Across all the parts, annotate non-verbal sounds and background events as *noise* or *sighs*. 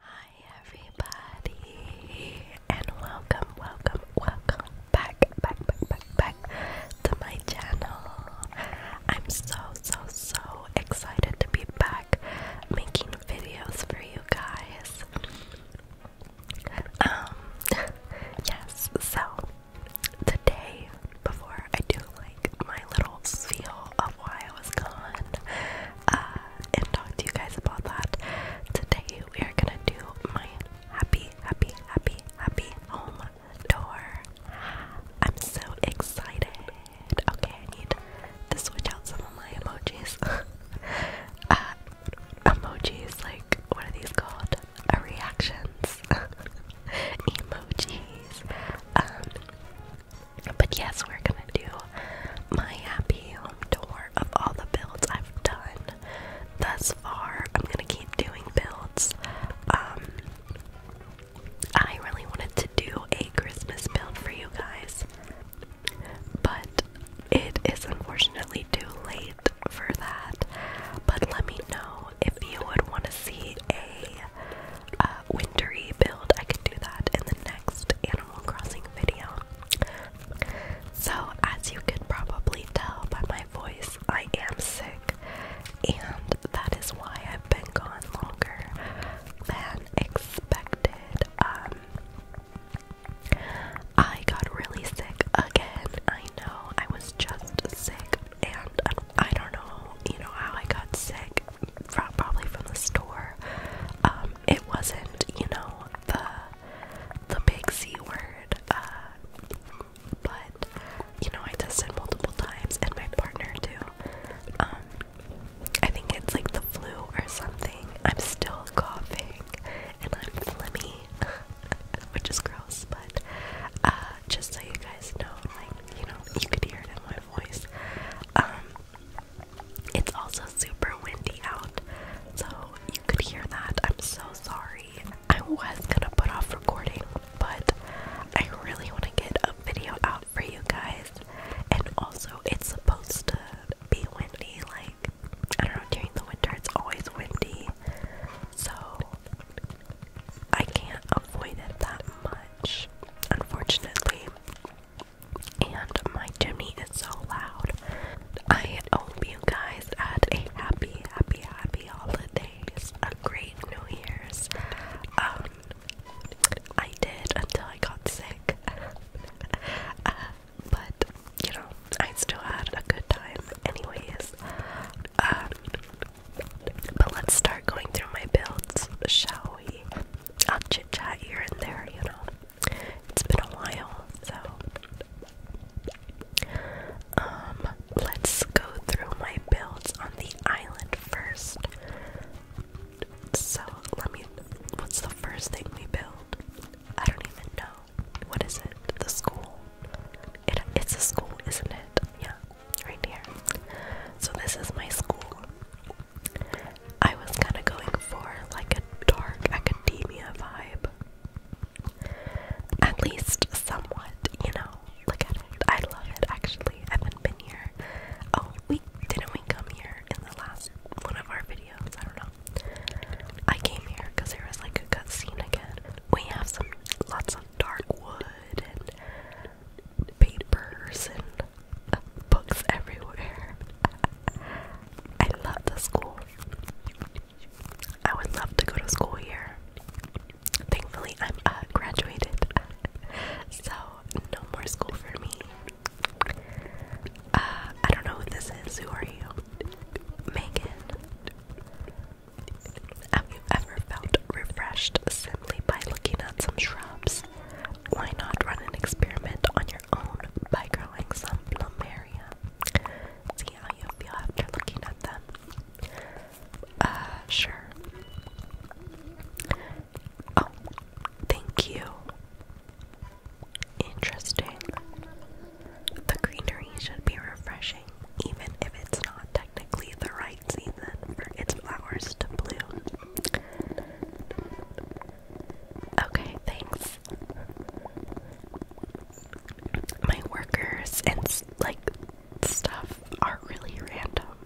Hi everybody and welcome, welcome, welcome back, back, back, back, back to my channel. I'm so, so, so excited to be back making videos for you guys. Um, *laughs* yes, so today, before I do like my little spiel of why I was gone, uh, and talk to you guys about that. Today we are gonna do my happy, happy, happy, happy home tour. I'm so excited. Okay, I need to switch out some of my emojis. *laughs* Uh, emojis, like, what are these called? Uh, reactions. *laughs* emojis. Um, but yes, we're gonna do my happy home tour of all the builds I've done thus far. I'm gonna keep doing builds. Um, I really wanted to do a Christmas build for you guys, but it is unfortunately too late for that. But let me know if you would want to see a uh, wintery build, I could do that in the next Animal Crossing video. So, as you could probably tell by my voice, I am sick, and that is why I've been gone longer than expected. Um, I got really sick again. I know I was just sick, and um, I don't know, you know, how I got sick. From, probably from the store. Um, it wasn't, you know, the the big C word. Uh, but you know, I tested multiple times, and my partner too. Um, I think it's like the flu or something. I'm still coughing, and I'm phlegmy, *laughs* which is gross. But uh, just so you guys know, like you know, you could hear it in my voice. Um, it's also super windy out, so you could hear that. I'm so sorry. I was gonna put off recording, but I really want to get a video out for you guys. And also, it's supposed to be windy, like, I don't know, during the winter it's always windy, so I can't avoid it that much, unfortunately and my Jimmy is so loud. I hope you guys had a happy, happy, happy holidays, a great New Year's. Um, I did until I got sick, *laughs* but you know, I still had a good time, anyways. Um, but let's start going through my builds, shall we? I'll chit chat here and there, you know it's been a while, so um, let's go through my builds on the island first. So let me. What's the first thing we build? I don't even know. What is it? The school. It, it's a school, isn't it? Yeah, right here. So this is my school. I was kind of going for like a dark academia vibe. At least somewhat, you know. Look at it. I love it actually. I haven't been here. Oh, we didn't we come here in the last one of our videos? I don't know. I came here because there was like a cutscene again. We have some lots of dark wood and papers and books everywhere. I love the school. I would love to go to school here. Thankfully, I'm uh, graduated, so no more school for me. Uh, I don't know who this is. Who are you? Megan. Have you ever felt refreshed simply by looking at some shrubs? why not run an experiment on your own by growing some plumeria? See how you feel after looking at them. Uh, sure. Oh, thank you. Interesting. The greenery should be refreshing, even if it's not technically the right season for its flowers to bloom. Okay, thanks. My workers and like stuff are really random.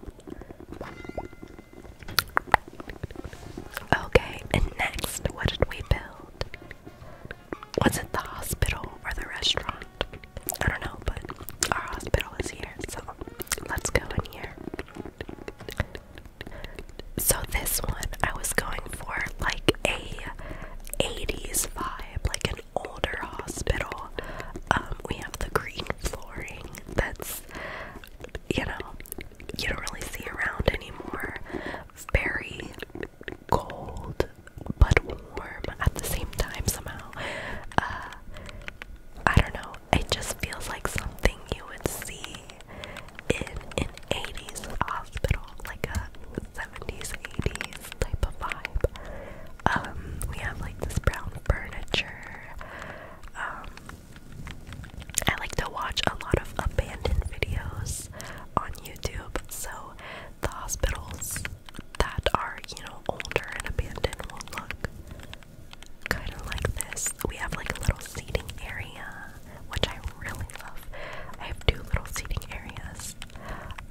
Okay, and next, what did we build? Was it the hospital or the restaurant? I don't know, but our hospital is here, so let's go in here. So this one I was going for like a 80s vibe, like an older hospital. Um, we have the green flooring that's you know, you don't really see around anymore. Very cold but warm at the same time somehow. Uh, I don't know, it just feels like something you would see in an 80s hospital, like a 70s, 80s type of vibe. Um, we have like this brown furniture. Um, I like to watch a lot of abandoned videos on YouTube, so the hospitals that are, you know, older and abandoned will look kind of like this. We have like a little seating area, which I really love. I have two little seating areas.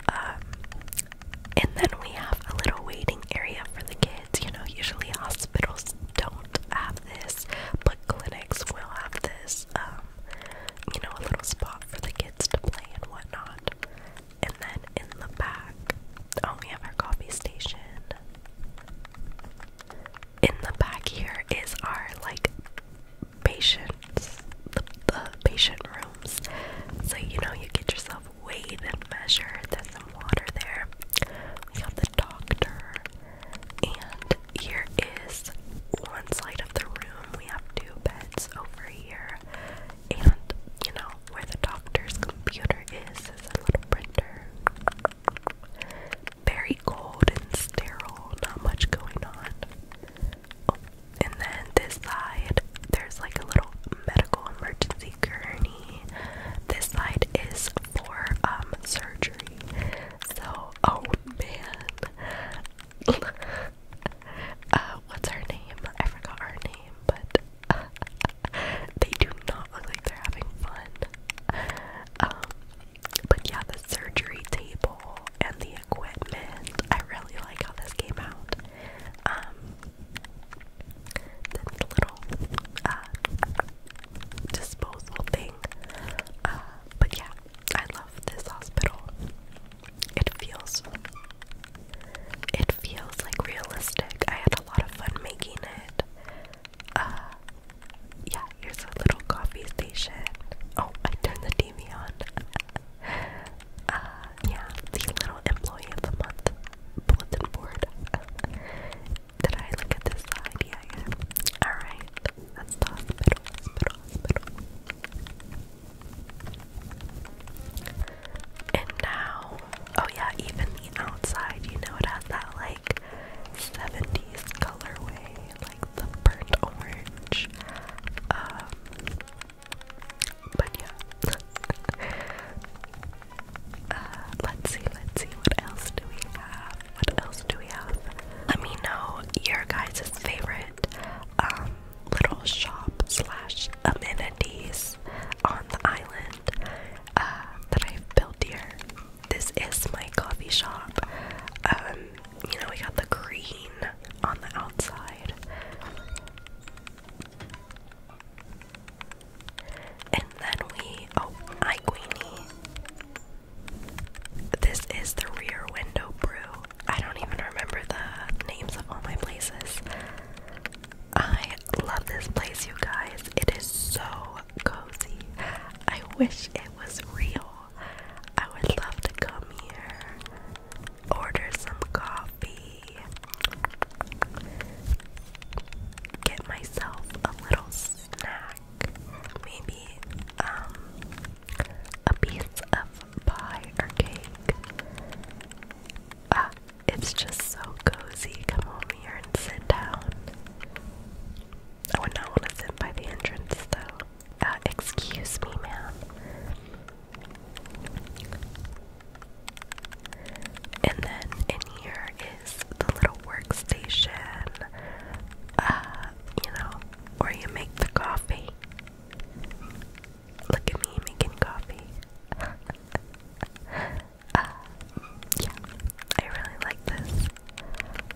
Um, and then we have a little waiting area for the kids. You know, usually hospitals don't have this, but clinics will have this. Um, you know, a little spot for the kids to play and whatnot. And then in the back, oh, we have our coffee station in the back here is our like patients the, patient rooms so you know you get yourself weighed and measured there's some water there we have the doctor and here is one side of the room we have two beds over here and you know where the doctor's computer is There's a little printer very cold and sterile, not much going on. Oh, and then this side, there's like a little medical emergency gurney. This side is for um surgery. So, oh man. *laughs* uh, what's her name? I forgot her name, but *laughs* they do not look like they're having fun. Um, but yeah, the surgery table and the equipment. I really like how this came out. Um, this little uh, thing. Uh, but yeah, I love this hospital. It feels, it feels like realistic. I had a lot of fun making it uh, yeah, here's a little coffee station. Oh, I turned the TV on. *laughs* uh, yeah, the little employee of the month bulletin board. *laughs* Did I look at this side? Yeah, yeah. Alright, hospital, hospital, hospital. And now, oh yeah, even the outside, you know, it has that like 70s colorway, like the burnt orange. Um, but yeah. *laughs* Uh, let's see, let's see, what else do we have? What else do we have? Let me know your guys' favorite um, little shop slash amenities on the island uh, that I've built here this is my coffee shop. Um, you know, we got the green on the outside. And then we oh hi Queenie. This is the rear window brew. I don't even remember the names of all my places. I love this place you guys. It is so cozy. I wish it was real. I would love to come here, order some coffee, get myself a little snack, maybe um a piece of pie or cake. Ah, it's just so cozy. Come over and sit down. I would not want to sit by the entrance though. Uh, excuse me, ma'am. And then in here is the little workstation. Uh, you know, where you make the coffee. Look at me making coffee. *laughs* Uh, yeah, I really like this.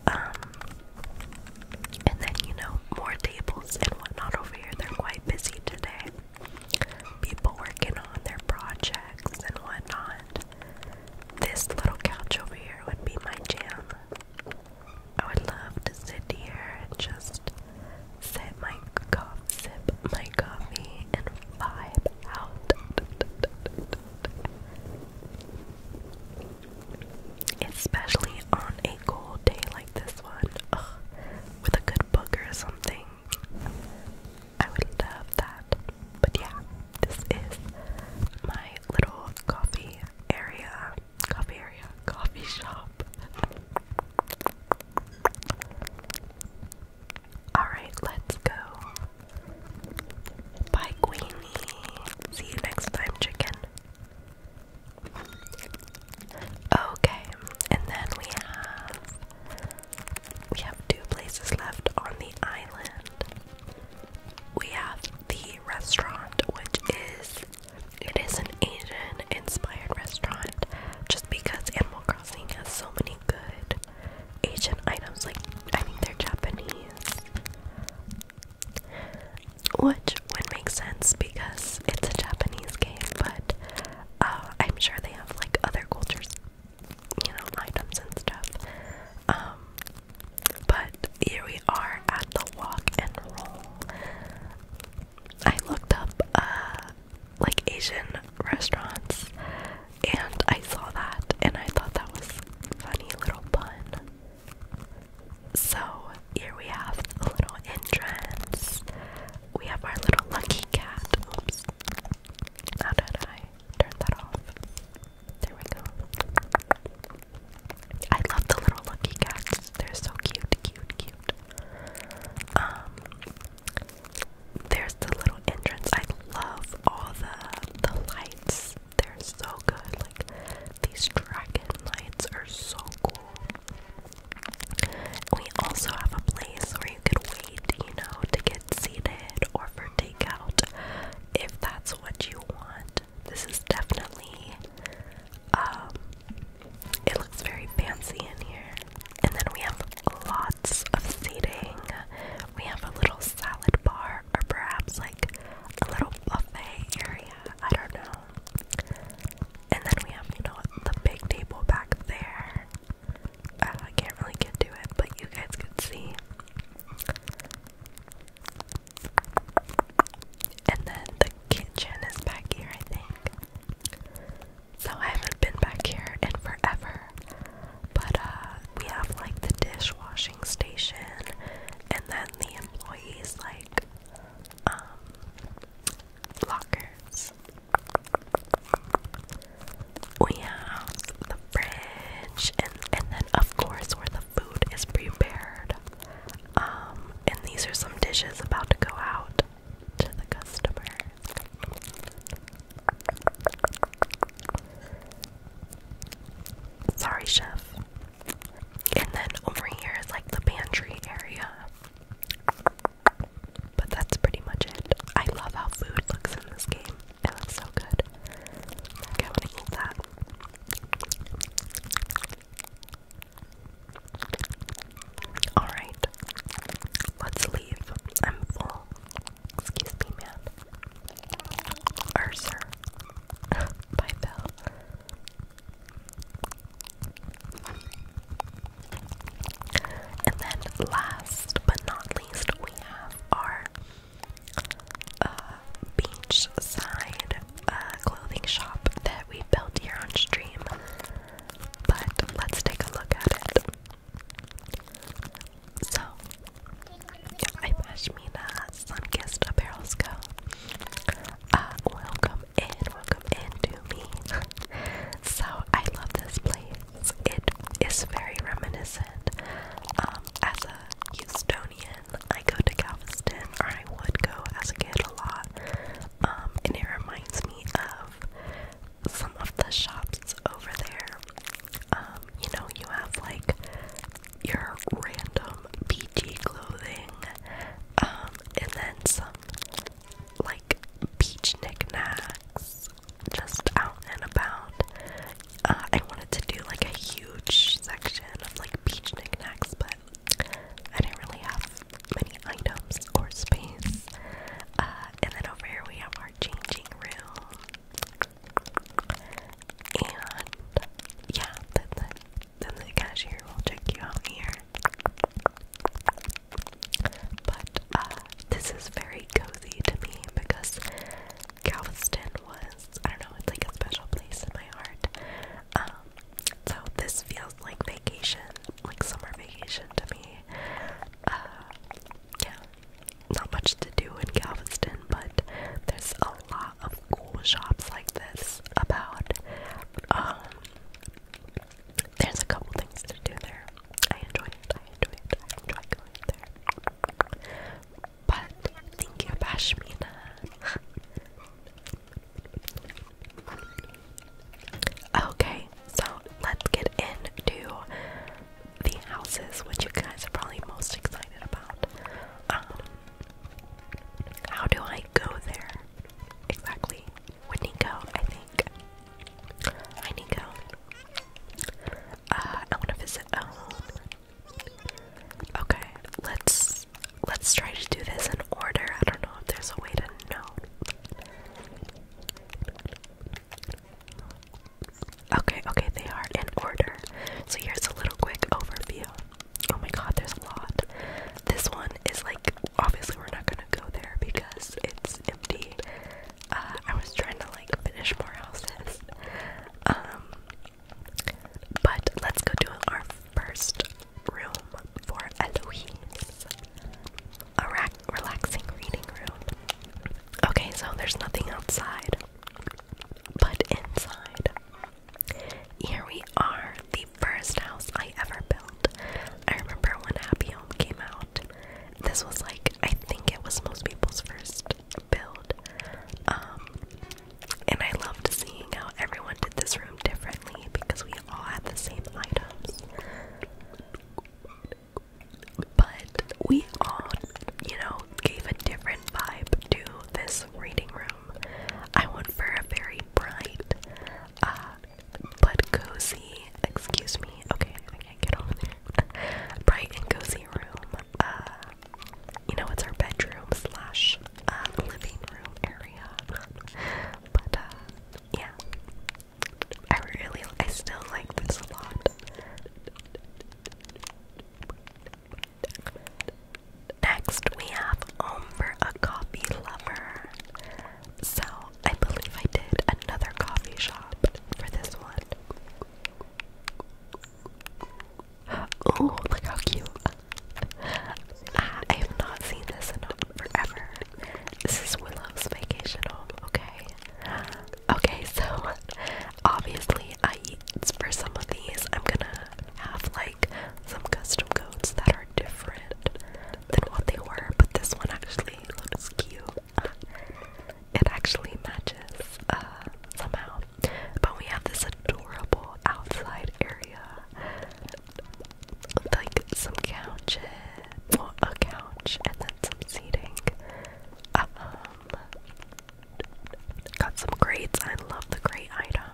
Um, and then you know, more tables and whatnot over here. They're quite busy today. People working on their projects and whatnot. This little couch over here would be my jam. I would love to sit here and just sip my coffee and vibe Especially on a cold day like this one, with a good book or something. I would love that. But yeah, this is my little coffee area, coffee area, coffee shop. Alright, let's go Bye, Queenie. See you next time, chicken. Okay, and then we have we have two places left on the island. We have the restaurant, which is it is an Asian inspired restaurant just because Animal Crossing has so many good Asian items, like I think they're Japanese. Which would make sense because it's a Japanese game, but uh, I'm sure they have like other cultures, you know, items and stuff. Um, but here we are at the walk and roll. I looked up uh, like Asian restaurants and I saw that and I thought that was funny little pun. So here we have a little entrance. We have our little lucky cat. Oops. How did I turn that off? There we go. I love the little lucky cats. They're so cute, cute, cute. Um there's the little entrance. I love all the the lights they're so good. Like these dragon lights are so cool. We also have a place where you could wait, you know, to get seated or for takeout if that's what you want. This is definitely um it looks very fancy in here. And then we have lots of seating. We have a little salad bar or perhaps like a little buffet area. I don't know. And then we have, you know, the big table back there. Uh, I can't really get to it, but you guys could see. And then the kitchen is back here, I think. So I haven't been back here in forever. But uh, we have like the dishwashing station, and then the employees like um lockers. We have the fridge, and and then of course where the food is prepared. Um, and these are some dishes about to go out to the customer. Sorry, chef. And then over here is like the pantry area. But that's pretty much it. I love how food looks in this game. It looks so good. Okay, I'm eat that. Alright, let's leave. I'm full. Excuse me, man. Or sir. Bye, Bell. And then last but not least, we have our uh, beachside uh, clothing shop that we built here on stream. But let's take a look at it. So, yeah, I'm Ashmina, Sunkissed Apparel's Co. Uh, welcome in, welcome in to me. *laughs* so, I love this place. It is very reminiscent. Um, as a Houstonian, I go to Galveston, or I would go as a kid a lot. Um, and it reminds me of some of the shops over there. Um, you know, you have like your random beachy clothing, um, and then some like beach knickknacks just out and about. Uh, I wanted to do like a huge section of like beach knickknacks, but I didn't really have many items or space. Uh, and then over here we have our changing room. And yeah, then the, then the cashier will check you out here. But uh, this is very cozy to me because Galveston was, I don't know, it's like a special place in my heart. Um, so this feels like vacation, like summer vacation to me. Uh, yeah, not much to do in Galveston, but there's a lot of cool shops like this about. Um, there's a couple things to do there. I enjoy it. I enjoy it. I enjoy going there. But thank you, Bashmina. *laughs* okay, so let's get into the houses, which you guys are probably most excited about. Um, how do I go there? Exactly. With Nico, I think. Hi, Nico. Uh, I want to visit um, Okay, let's let's try to do this in order. I don't know if there's a way to know. Okay, okay, they are in order. So here's a little quick overview. Oh my god, there's a lot. This one is like obviously we're not gonna go there because it's empty. Uh, I was trying to like finish more houses. Um, but let's go to our first room for Eloise. A relaxing reading room. Okay, so there's nothing outside. But inside, here we are, the first house I ever built. I remember when Happy Home came out. This was like, I think it was most people's first build. Um, and I loved seeing how everyone did this room differently because we all had the same items but we all, you know, gave a different vibe to this reading room. I went for a very bright, uh, but cozy, excuse me, okay, I can't get over there. *laughs* bright and cozy room. Uh, you know, it's our bedroom slash uh, living room area. but, uh, yeah. I really, I still like this a lot. Next, we have Home a Coffee Lover. So, I believe I did another coffee shop for this one. Oh, look how cute! Ah, I have not seen this in forever. This is Willow's vacation home, okay? Okay, so obviously, I eat for some of these, I'm gonna have like some custom codes that are different than what they were, but this one actually looks cute. Uh, it actually matches uh, somehow. But we have this adorable outside area, like some couches, a couch, and then some seating. Uh, um, Got some crates. I love the great item.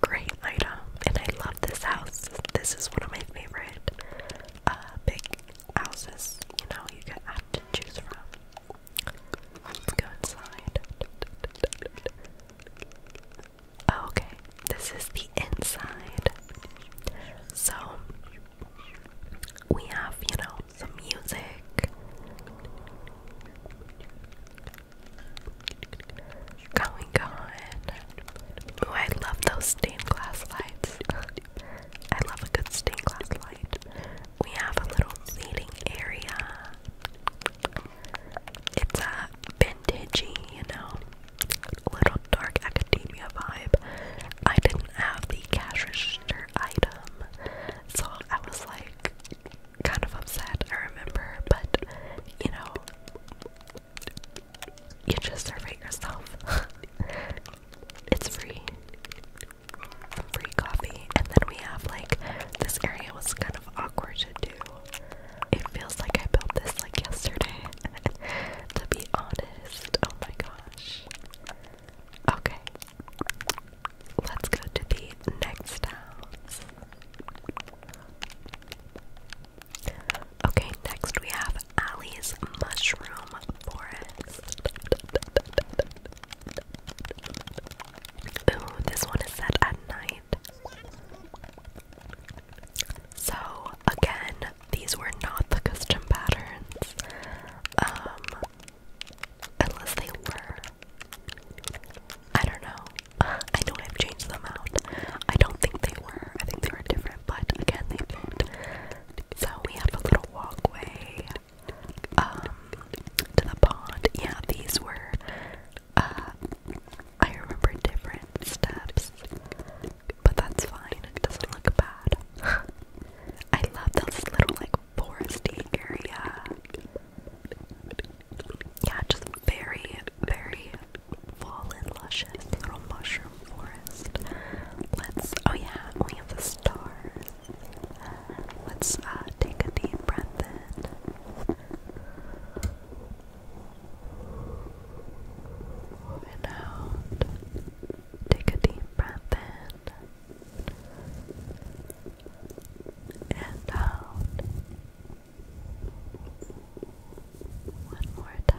Great item. And I love this house. This is one of my favorite uh, big houses, you know, you can to choose from. Let's go inside. Okay, this is the inside. So, we have, you know, some music. Going on. Oh, I love those stained glass lights. I love a good stained glass light. We have a little seating area. It's a vintagey, you know, little dark academia vibe. I didn't have the cash register item, so I was like kind of upset, I remember, but you know, you just serve it yourself. *laughs* it's free. Free coffee. And then we have like this area was kind of awkward to do. It feels like I built this like yesterday. *laughs* to be honest. Oh my gosh. Okay. Let's go to the next house. Okay, next we have Allie's Mushroom Forest. Ooh, this one is set at night. So, again, these were not the custom patterns. Um, Unless they were. I don't know. I know I've changed them out. I don't think they were. I think they were different, but again, they fit. So we have a little walkway um, to the pond. Yeah, these were, uh, I remember different steps, but that's fine. It doesn't look bad. *laughs* I love those little, like, foresty area. Yeah, just very, very full and luscious little mushroom forest. Let's, oh yeah, we have the stars. Let's uh, take a deep breath in. And out. Take a deep breath in and out. One more time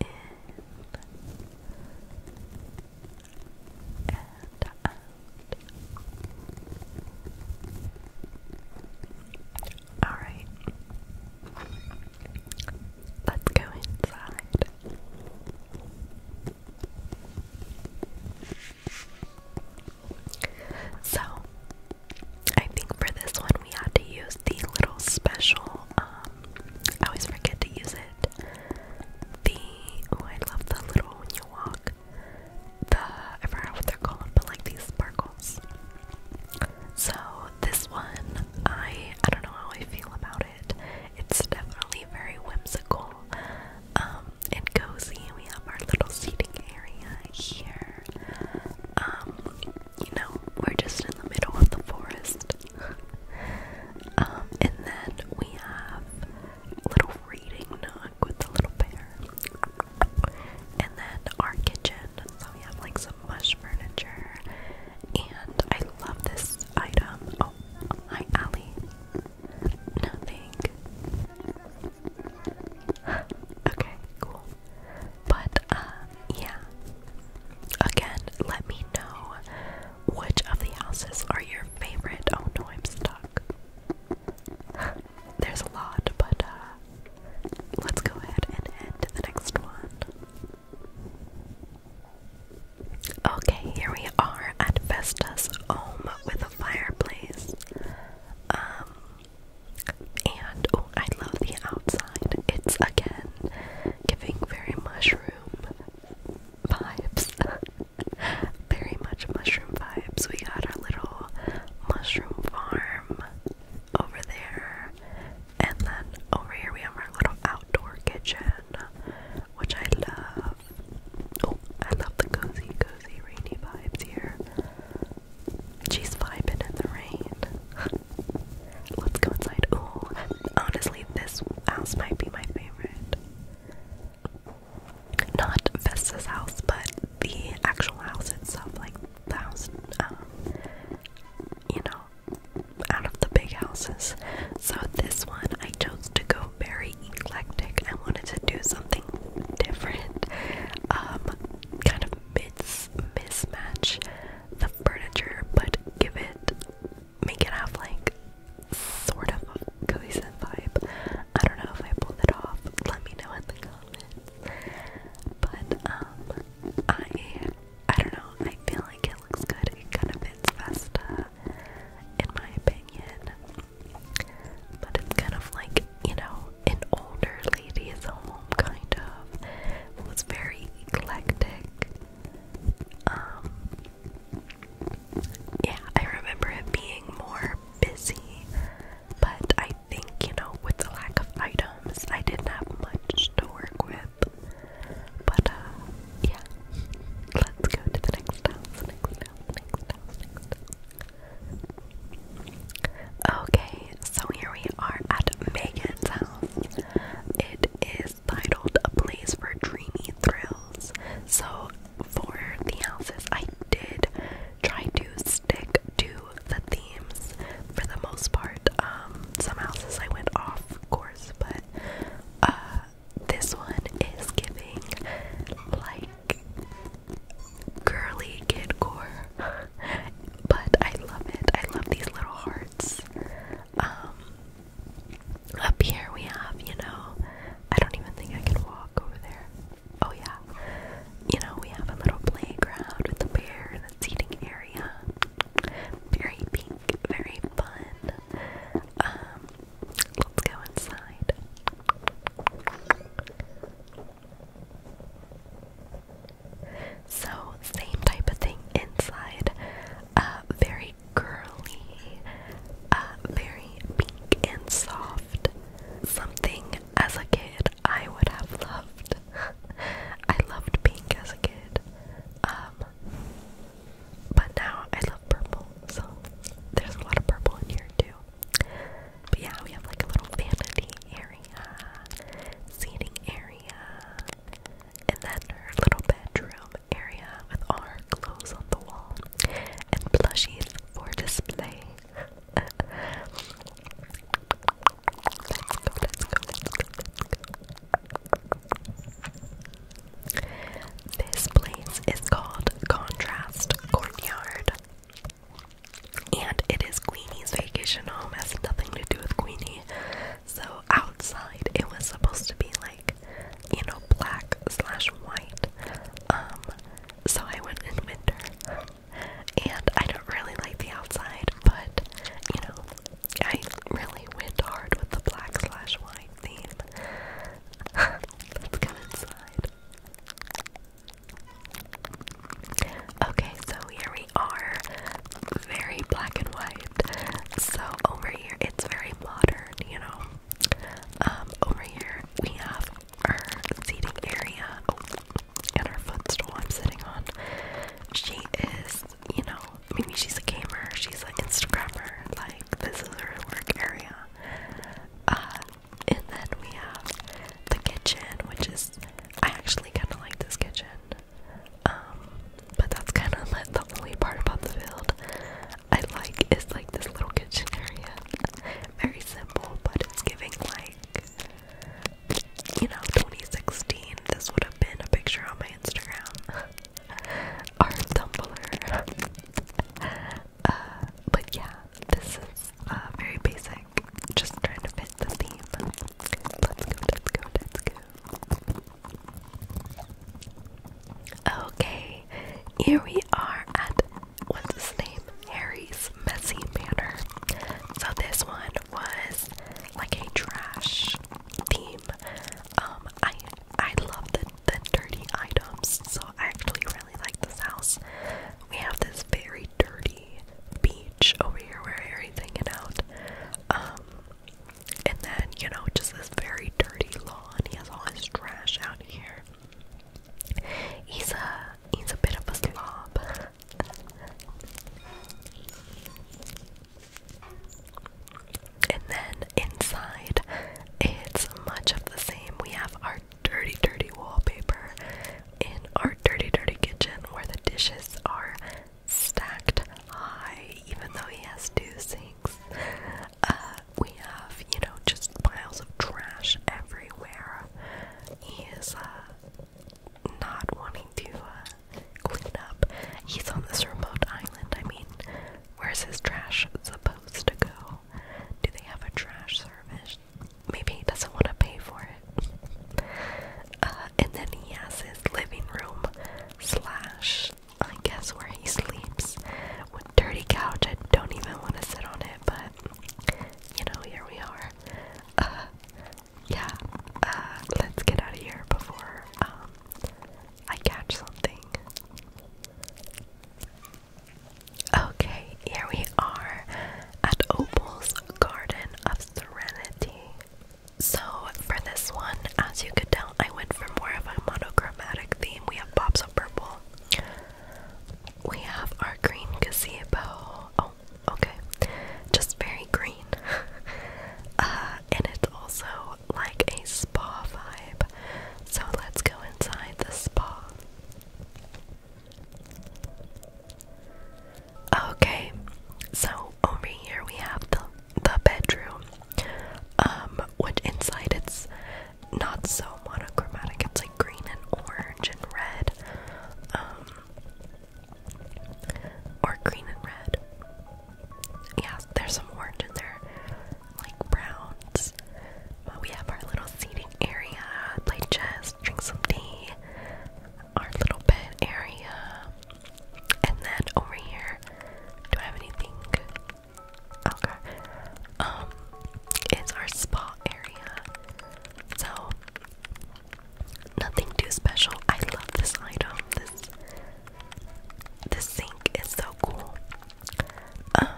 in and out. All right. Let's go inside. So, I think for this one we had to use the little special, um, I always forget to use it. The, oh, I love the little when you the, I forgot what they're called, but like these sparkles. So, this one, I, I don't know how I feel about it. It's definitely very whimsical. Um, and cozy. We have our little seating area here. Um, you know, we're just in the middle of the forest. *laughs* Um, and then we have a little reading nook with the little bear. And then our kitchen. So we have like some mush furniture. And I love this item. Oh, hi, Allie. Nothing. okay, cool. But, um, yeah. Again, let me know which of the houses are your favorite. Oh no, I'm stuck. *sighs* There's a lot, but, uh, let's go ahead and end to the next one. Okay, here we are at Vesta's home with a fireplace. Um, and oh, I love the outside. It's again giving very mushroom vibes. *laughs* very much mushroom vibes. We got our little mushroom farm over there. And then over here we have our little outdoor kitchen which I love. Oh, I love the cozy, cozy, rainy vibes here. She's vibing in the rain. *laughs* Let's go inside. Oh, honestly, this house might be my favorite. Not Vesta's house, but the actual house itself, like the house, um, you know, out of the big houses. So this one, I chose to go very eclectic. I wanted to do something different, um, kind of mis mismatch the furniture, but give it, make it have like sort of a vibe. I don't know if I pulled it off. Let me know in the comments. But um, I, I don't know. I feel like it looks good. It kind of fits Vesta, uh, in my opinion. But it's kind of like, you know, an older lady's home, kind of. It was very eclectic. Um, yeah, I remember it being more busy, but I think, you know, with the lack of items, I didn't have much to work with. But, uh, yeah. Let's go to the next house. Okay, so here we are at Megan's It is titled A Place for Dreamy Thrills. So, for the houses, I did try to stick to the themes for the most part. Um, some houses I went off course, but uh, this one is giving like girly kid core, but I love it. I love these little hearts. Um, up here we have, you know, I don't even think I can walk over there. Oh, yeah. You know, we have a little playground with a bear and a seating area. Very pink, very fun. Um, Let's go inside. So, same type of thing inside. Uh, very girly, uh, very pink and soft. Something as a kid I would have loved. *laughs* I loved pink as a kid. Um, but now I love purple, so there's a lot of purple in here too. But yeah, we have like a little vanity area, seating area, and then her little bedroom area with all her clothes on the wall and plushies for display. *laughs* let's go, let's go, let's go, this place is called Contrast Courtyard. And it is Queenie's vacation home. has nothing to do with Queenie. So outside it was supposed to be like, you know, black slash white. Um, so I went in winter. And I don't really like the outside, but you know, I really went hard with the black slash white. *laughs* Let's go inside. Okay, so here we are. Very black and white. So over here, it's very modern, you know. Um, over here, we have our seating area and our footstool I'm sitting on. She is, you know, maybe she's a gamer, she's an Instagrammer, like, this is her work area. Uh, and then we have the kitchen, which is I actually kind of like this kitchen. Um, but that's kind of like *laughs* the only part about the field I like is like this little kitchen area. Very simple, but it's giving like you know 2016. This would have been a picture on my Instagram. *laughs* our Tumblr. Uh, but yeah, this is uh, very basic. Just trying to fit the theme. Let's go, let's go, let's go. Okay, here we are at what's his name? Harry's Messy manner. So this one was like a trash theme. Um, I I love the, the dirty items, so I actually really like this house. We have this very dirty beach over here where everything's hanging out. Um, and then, you know, just this very dirty lawn. He has all his trash out here. He's a he's a bit of a slob. And then inside, it's much of the same. We have our dirty, dirty wallpaper in our dirty, dirty kitchen where the dishes are stacked high, even though he has two sinks. Uh, we have, you know, just piles of trash everywhere. He is uh, not wanting to uh, clean up. He's on this remote island. I mean, where's his trash supposed to go? Do they have a trash service? Maybe he doesn't want to pay for it. Uh, and then he has his living room slash, I guess, where he sleeps with dirty couch. I don't even want to sit on it, but you know, here we are. Uh, yeah, uh, let's get out of here before um, I catch something. Okay, here we are at Opal's Garden of Serenity. So, for this one, as you could tell, I went for more of a monochromatic theme. We have pops of purple, we have our green gazebo. Oh, okay, just very green. *laughs* Uh, and it's also like a spa vibe. So let's go inside the spa. Okay, so over here we have the the bedroom. Um, which inside it's not so monochromatic, it's like green and orange and red. Um or green and red. Yeah, there's some orange in there like browns. But we have our little seating area, play chess, drink some tea, our little bed area. And then over here, do I have anything? Okay. Um, it's our spa area. So, nothing too special. I love this item. This this sink is so cool. Um,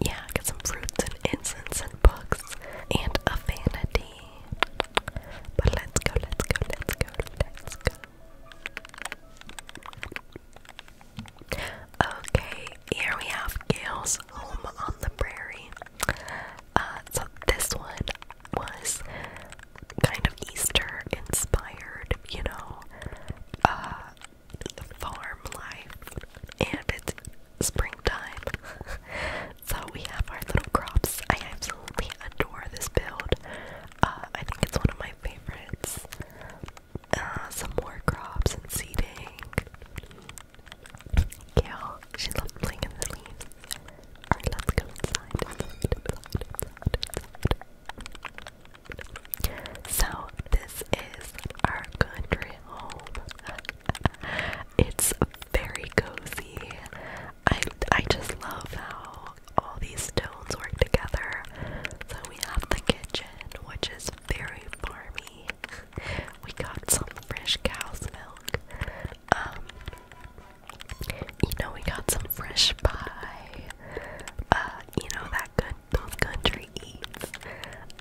yeah, I got some fruits and incense and books and a vanity. But let's go, let's go, let's go, let's go. Okay, here we have Gail's Home on the Prairie. Uh, so this one was kind of Easter inspired, you know. Uh, farm life, and it's springtime. *laughs* so we have our little crops. I absolutely adore this build. Uh, I think it's one of my favorites. Uh, some more crops and seeding. Yeah, she loves playing in the leaves. Alright, let's go inside. So this is our country home. *laughs* it's very cozy. I I just love how all these stones work together. So we have the kitchen, which is very farmy. *laughs* We got some fresh cow's milk. Um, you know, we got some fresh pie. Uh, you know that good, those country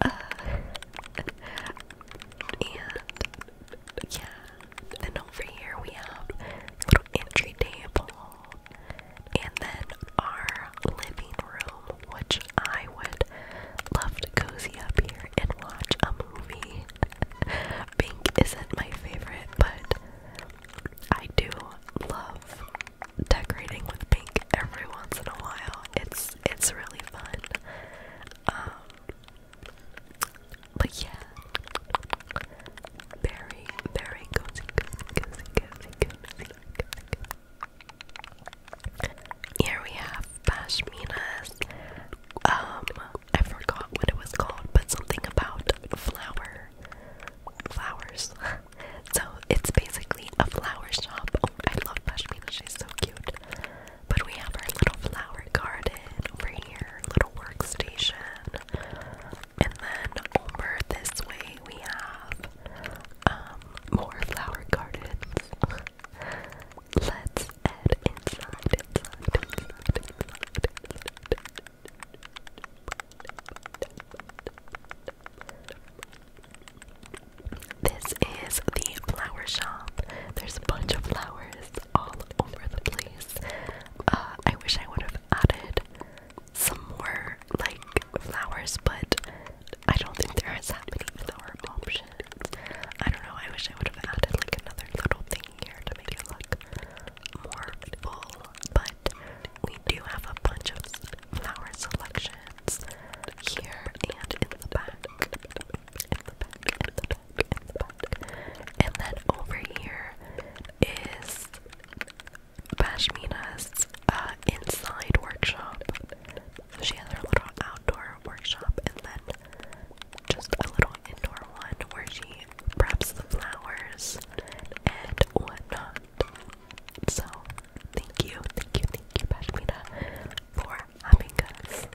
uh, and yeah, then over here we have little entry table, and then our living room, which I would love to cozy up here and watch a movie. Pink isn't my favorite, but I do love decorating with pink every once in a while. It's it's really fun. Um, but yeah, very very cozy, cozy, cozy, cozy, cozy. Here we have pashminas. Um, I forgot what it was called, but something about flower flowers. *laughs* So it's basically a flower shop. Oh, I love Pashmina, she's so cute. But we have our little flower garden over here, little workstation. And then over this way we have um more flower gardens. Let's head inside. This is the flower shop. There's a bunch of flowers all over the place. Uh, I wish I would have added some more like flowers, but I don't think there is that many flower options. I don't know. I wish I would have added like another little thing here to make it look more full, but we do have a bunch of flower selections here and in the back. And then over here is Bashmina's uh, inside workshop. So she has her little outdoor workshop and then just a little indoor one where she preps the flowers and whatnot. So, thank you, thank you, thank you, Pashmina, for having us.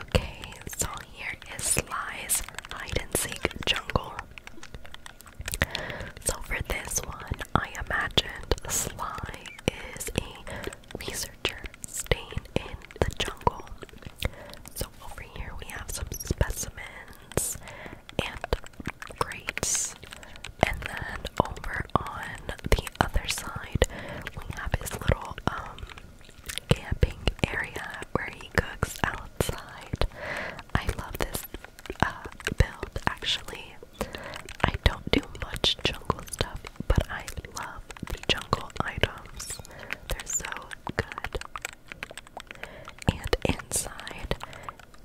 Okay, so here is Sly's hide and seek jungle. So for this one, I imagined Sly is a researcher staying in the jungle. So over here we have some specimens and crates. And then over on the other side, we have his little um, camping area where he cooks outside. I love this uh, build actually. I don't do much jungle stuff, but I love the jungle items. They're so good. And inside,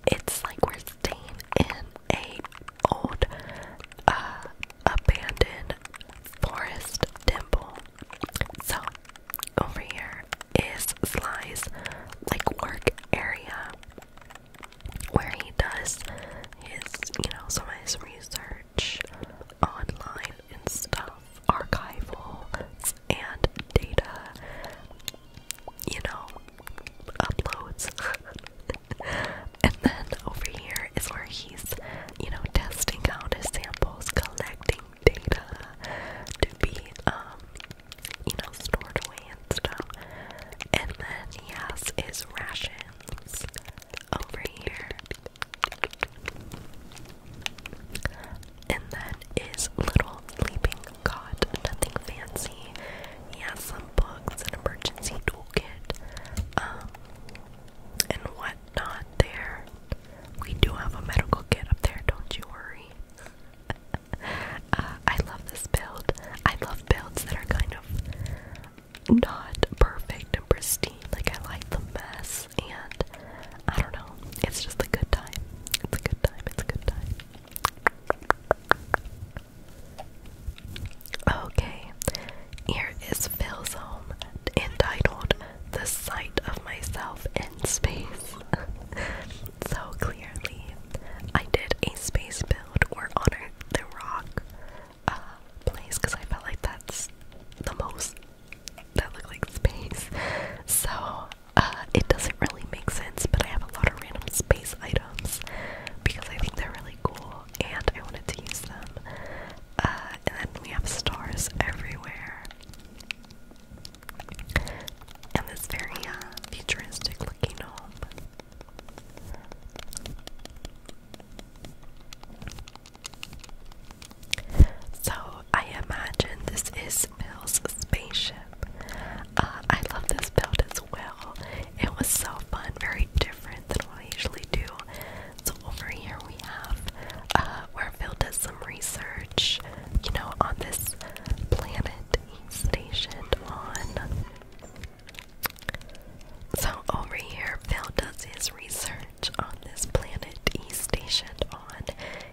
it's like we're staying in a old uh, abandoned forest temple. So over here is Sly's like work area where he does his, you know, some of his research online and stuff, archival and data, you know, uploads. *laughs* and then over here is where he's, you know, testing out his samples, collecting data to be um you know, stored away and stuff. And then he has his rations over here. And then his little sleeping cot, nothing fancy. He has some books, an emergency toolkit, um, and whatnot there. We do have a medical kit up there, don't you worry. *laughs* Uh, I love this build. I love builds that are kind of not perfect and pristine. Like, I like the mess, and I don't know. It's just a good time. It's a good time. It's a good time. Okay, here is Phil's home entitled The Sight of Myself in Space. *laughs* so clearly. I did a space build or honored the rock uh, place because I felt like that's the most that looked like space. So uh, it doesn't really make sense, but I have a lot of random space items because I think they're really cool and I wanted to use them. Uh, and then we have stars everywhere and this very uh, futuristic looking home. So I imagine this is Phil's spaceship. Uh, I love this build as well. It was so fun, very different than what I usually do. So over here we have uh, where Phil does some research, you know, on this planet he's stationed on. So over here, Phil does his research on this planet he's stationed on.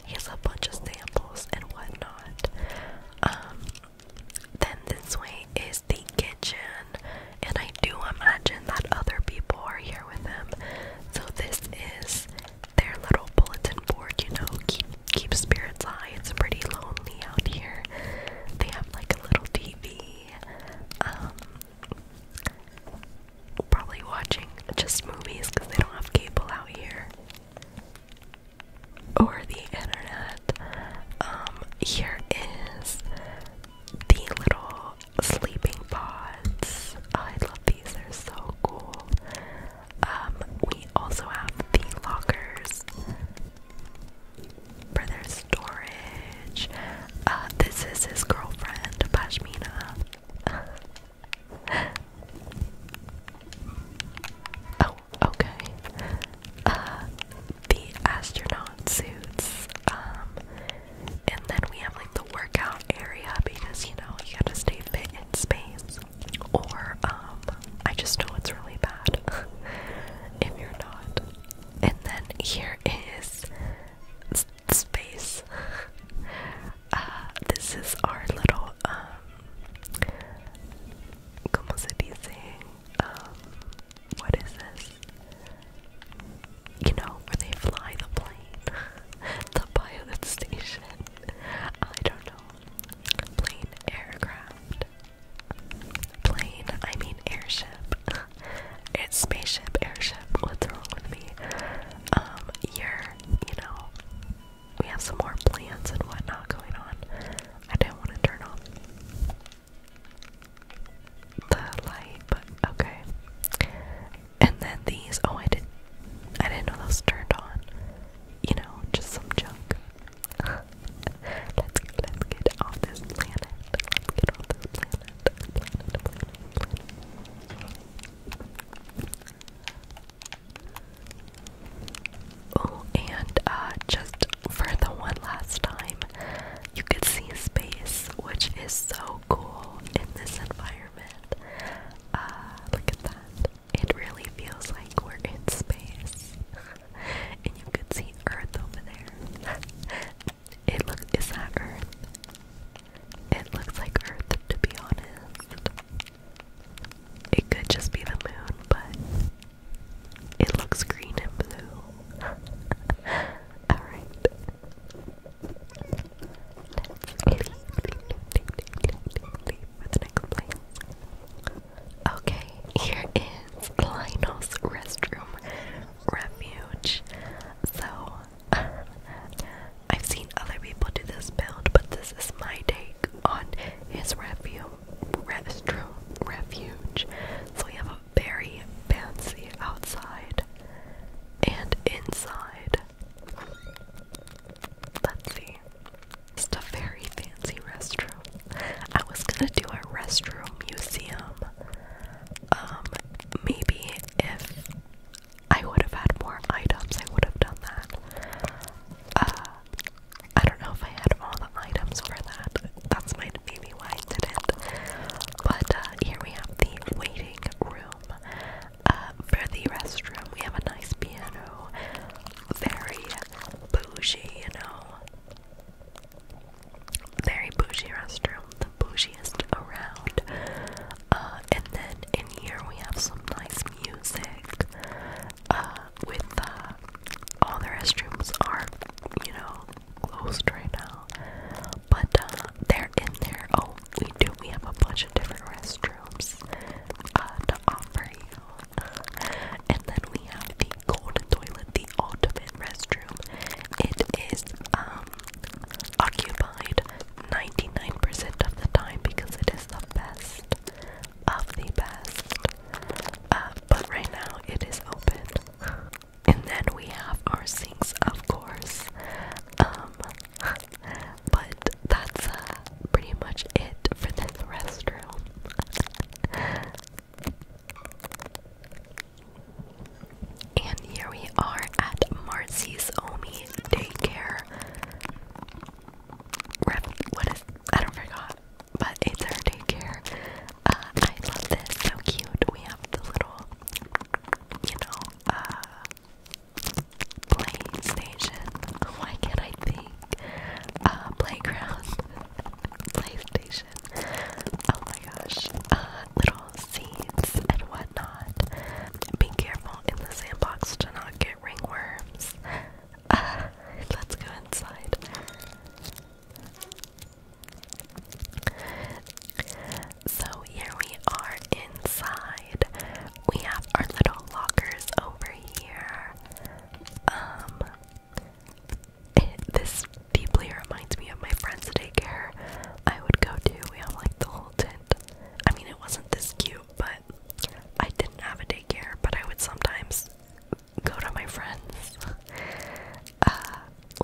He has a bunch of samples and whatnot. Um, then this way is the kitchen, and I do imagine that other people are here with him. So this is their little bulletin board, you know, keep keep spirits high. It's pretty lonely out here. They have like a little TV. Um, probably watching just movies because they don't have cable out here. Or the internet. Um, here is the little sleeping pods. I love these, they're so cool. Um, we also have the lockers for their storage. Uh, this is his girlfriend, Pashmina. *laughs* oh, okay. Uh, the astronaut suits. Um, and then we have like the workout area because you know you gotta stay fit in space or um, I just know it's really bad *laughs* if you're not. And then here is space. *laughs* Uh, this is our little, um, como se dice? Um, what is this? You know, where they fly the plane, *laughs* the pilot station. I don't know. Plane aircraft. Plane, I mean airship. *laughs* it's spaceship, airship. What's wrong with me? Um, you're, you know, we have some more plans and whatnot going on. I didn't want to turn off the light, but okay. And then these, oh, I didn't, I didn't know those turned on you know, just some junk. *laughs* let's let's get off this planet. Let's get off this planet. Oh, and uh, just for the one last time, you could see space, which is so cool in this environment. Uh, look at that. It really feels like we're in space. *laughs* and you could see Earth over there. *laughs* it looks is that Earth? It looks like Earth to be honest. It could just be the moon, but it looks green and blue. *laughs* Alright. Okay, here is Lionel's restroom refuge. So, *laughs* I've seen other people do this build, but this is my take on his refume, restroom refuge. So, we have a very fancy outside and inside let's see. Just a very fancy restroom. I was gonna do a restroom museum. Um, maybe if I would have had more items, I would have done that. Uh, I don't know if I had all the items for that. That's my maybe why I didn't. But uh, here we have the waiting room. Uh, for the restroom, we have a nice piano. Very bougie, you know. Very bougie restroom. The bougiest around. Uh, and then in here we have some nice music. Uh, with all the restrooms are, you know, closed right now. But uh, they're in there. Oh, we do. We have a bunch of different restrooms. Uh, to offer you. And then we have the golden toilet, the ultimate restroom. It is um, occupied 99% of the time because it is the best of the best. Uh, but right now it is open. And then we have our sinks, of course. Um, but that's uh, pretty much it for this restroom. and here we are at Marcy's Omi Daycare. Rep what is I don't forgot, but it's her daycare. Uh, I love this. So cute. We have the little, you know, uh, PlayStation. Why can't I think? Uh, playground. *laughs* PlayStation. Oh my gosh. Uh, little seeds and whatnot. Be careful in the sandbox to not get ringworms. Uh, let's go inside. So here we are inside we have our little lockers over here. Um, this deeply reminds me of my friend's daycare I would go to. We have like the whole tent. I mean, it wasn't this cute, but I didn't have a daycare, but I would sometimes go to my friends. Uh,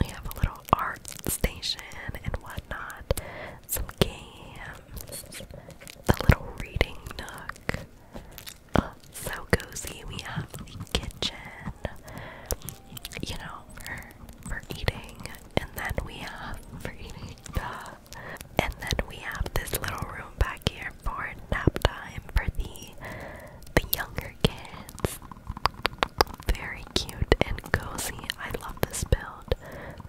we have a little art station and whatnot some games, a little reading nook. Uh, so cozy. We have the kitchen, you know, for, for eating, and then we have for eating the. And then we have this little room back here for nap time for the the younger kids. Very cute and cozy. I love this build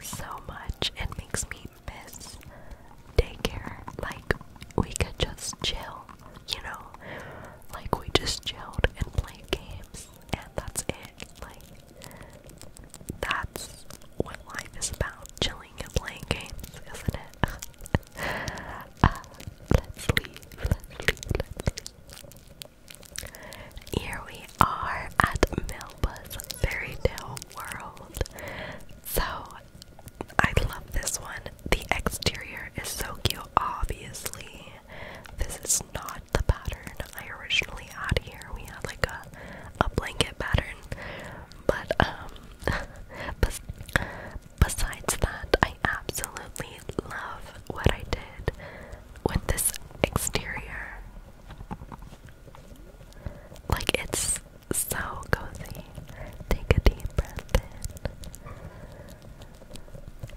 so much. It makes me miss daycare. Like, we could just chill, you know? Like, we just chilled and played games, and that's it. Like, that's what life is about chilling and playing games, isn't it? *laughs* Uh, let's leave, let's leave, let's leave. Here we are at Melba's Fairy Tale World. So I love this one. The exterior is so cute, obviously. This is not the pattern I originally had here. We had like a, a blanket pattern. But um *laughs* besides that, I absolutely love what I did with this exterior. Like it's so cozy. Take a deep breath in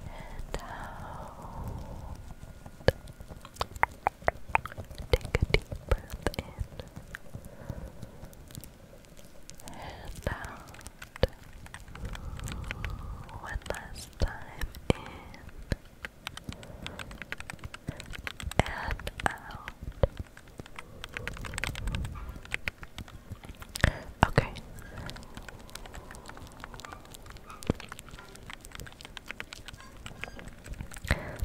and out. Take a deep breath in and out. One last time in and out. Okay.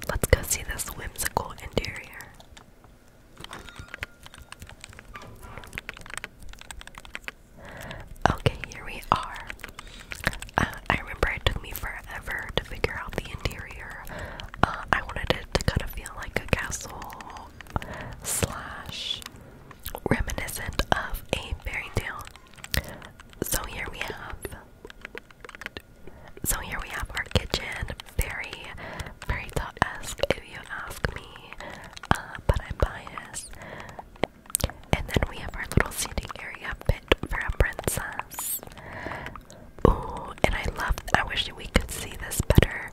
Let's go see this whimsical interior. Okay, here we are. Uh, I remember it took me forever to figure out the interior uh, I wanted it to kind of feel like a castle slash reminiscent of a fairy tale. So here we have so here we have our kitchen. Very, very thought-esque if you ask me. Uh, but I'm biased. And then we have our little seating area fit for a princess. Ooh, and I love, I wish we could see this better,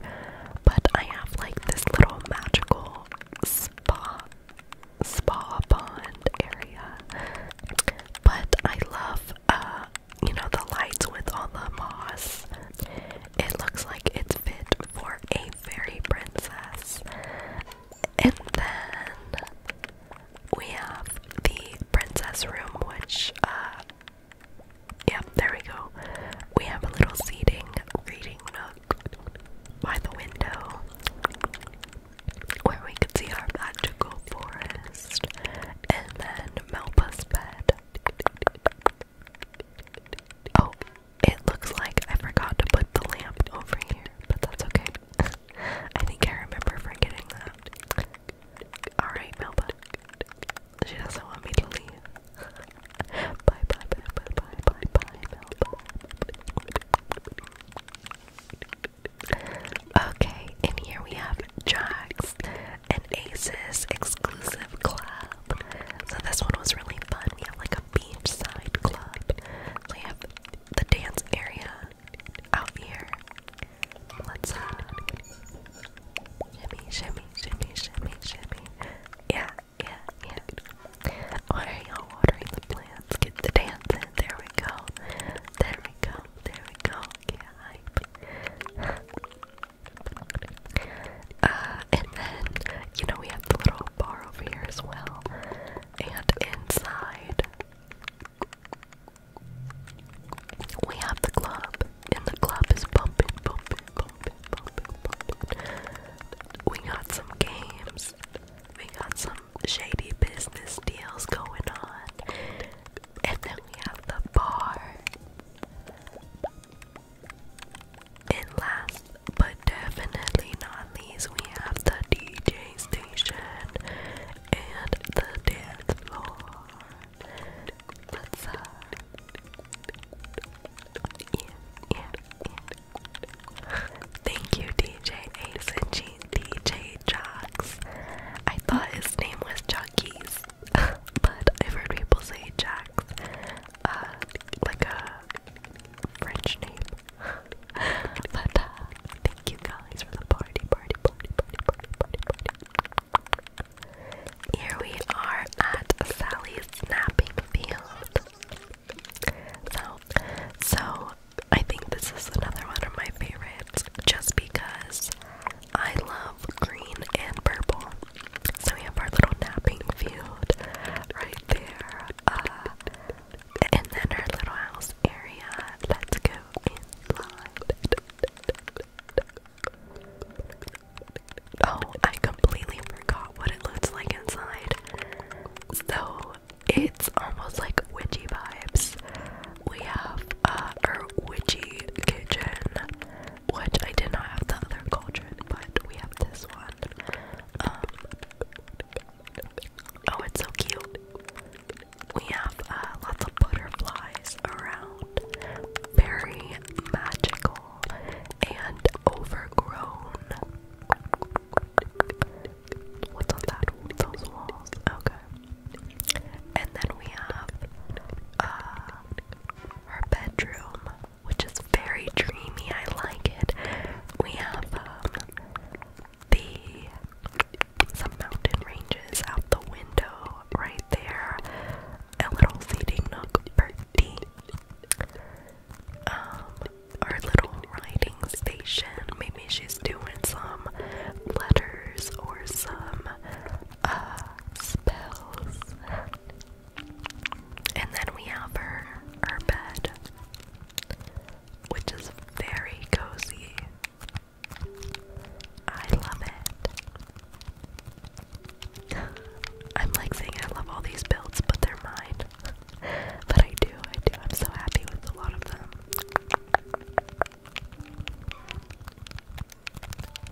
but I have like this little magical spa, spa pond area. But I love, uh, you know, the lights with all the moss. It looks like it's fit for a fairy princess. And then we have the princess room, which, uh, yeah, there we go. We have a little seating reading nook by the window where we can see our magical forest and then Melpa's bed. Oh, it looks like I forgot to put the lamp over here, but that's okay. *laughs* I think I remember forgetting that. Alright, Melba. She doesn't want me to leave. *laughs* bye, bye, bye, bye, bye, bye, bye, Melba. Okay, and here we have Jax and Aces exclusive club. So this one was really fun. We have like a beachside club. we have the dance area out here. Let's shimmy, shimmy, shimmy, shimmy, shimmy. Yeah, yeah, yeah. watering the plants? Get the dance in. There we go. There we go. There we go. Get hype. and then, you know, we have the little bar over here as well. And inside, we have the club, and the club is bumping, bumping, bumping, bumping, We got some games, we got some shady business deals going on, and then we have the bar. And last but definitely not least, we have the DJ station and the dance floor. Thank you, DJ Ace and G DJ Jocks. I thought his name was Jockeys, *laughs* but I've heard people say Jacks. Uh, like a French name. *laughs* Uh, thank you guys for the party, party, party, party, party, party. Here we are at Sally's snapping field. So, so I think this is another one of my favorites just because I love green and purple. So we have our little napping field right there. Uh, and then our little house area. Let's go inside. Oh, I completely forgot what it looks like inside. So it's almost like witchy vibes. We have uh, our witchy kitchen, which I did not have the other cauldron, but we have this one. Um, oh, it's so cute we have uh, lots of butterflies around. Very magical and overgrown. What's on that? Those Okay. And then we have uh, bedroom, which is very dreamy. I like it. We have um, the some mountain ranges out the window right there. A little seating nook for tea. Um, our little writing station. Maybe she's doing some letters or some uh, spells. And then we have her, her bed, which is very cozy. I love it. *laughs* I'm like saying I love all these builds, but they're mine. *laughs* but I do, I do. I'm so happy with a lot of them.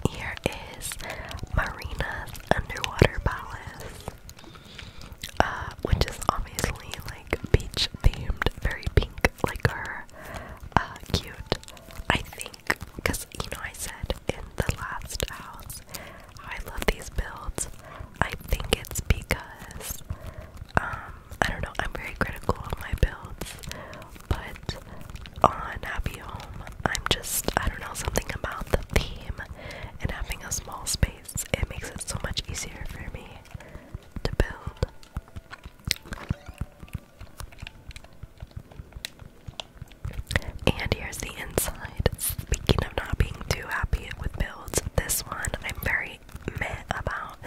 Here is Marina's Underwater Palace, uh, which is obviously like beach themed, very pink like her uh, cute. I think because you know I said in the last house I love these builds. I think it's because um, I don't know. I'm very critical of my builds, but on Happy Home, I'm just I don't know something about the theme and having a small space. It makes it so much easier for me to build. And here's the inside. Speaking of not being too happy with builds, this one I'm very mad about,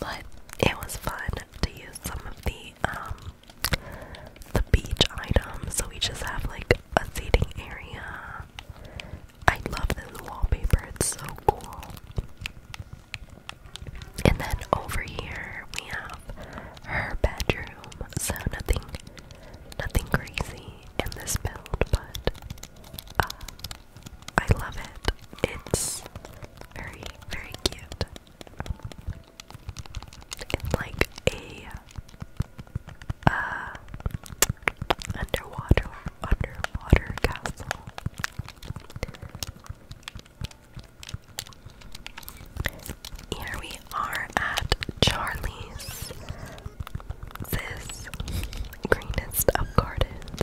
but it was fun to use some of the um, the beach items. So we just have like a seating area. I love this wallpaper, it's so cool. And then over here we have her bedroom. So nothing nothing crazy in this build, but uh, I love it. It's very, very cute. It's like a uh, underwater underwater castle. Here we are at Charlie's. This greenest of gardens.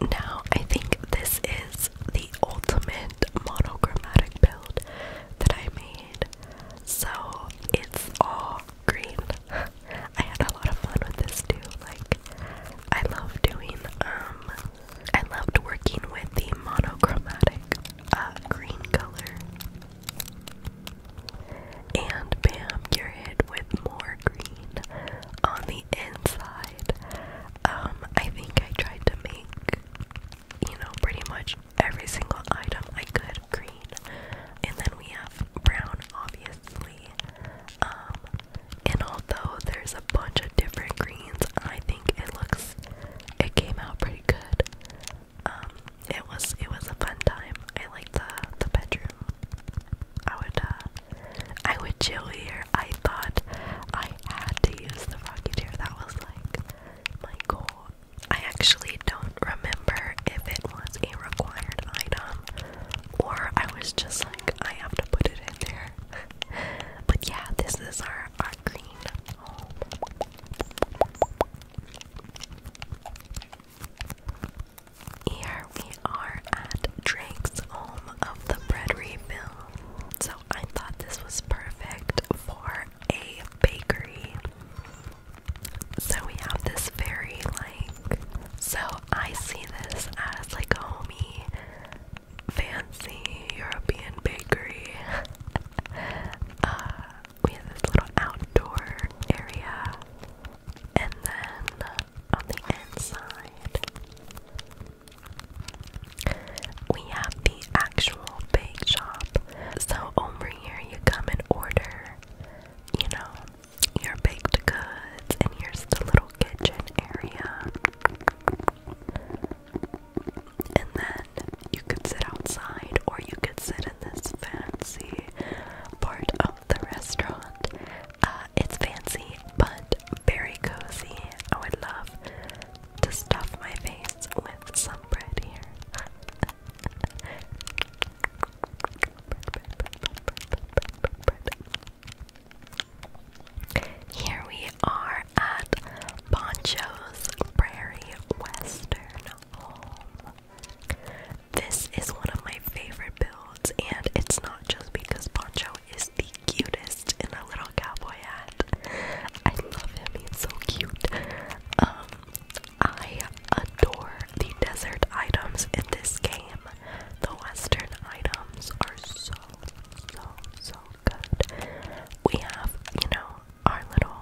Now, I think this is the ultimate monogrammatic build that I made. So it's all green. *laughs* I had a lot of fun with this too. Like, I love doing um I loved working with the monochromatic uh, green color. And bam, you're hit with more green on the inside. Um, I think I tried to make, you know, pretty much every single item I could green. And then we have brown, obviously. Um, and although there's a bunch of different greens, I think it looks it came out pretty good. Um, it was it was a fun time. I liked the the bedroom. I would uh, I would chill here. I thought I had to use the rocky chair. That was like my goal. I actually don't remember if it was a required item or I was just like I have to put it in there. *laughs* but yeah, this is our our green home. Here we are at Drake's home of the bread refill. So I thought this was perfect for a bakery. So we have this very like so I see this as like homey fancy European bakery. *laughs* Uh, we have this little outdoor area, and then on the inside, we have the actual bake shop. So, over here, you come and order, you know, your baked goods, and here's the little kitchen area. And then you could sit outside or you could sit in this fancy part of the restaurant. it's fancy but very cozy. I would love to stuff my face with some bread here. Here we are at Poncho's Prairie Western Home. This is one of my favorite builds, and it's not just because Poncho is the cutest in a little cowboy hat. I love him, he's so cute. Um, I adore the desert items in this game. The western items are so, so, so good. We have, you know, our little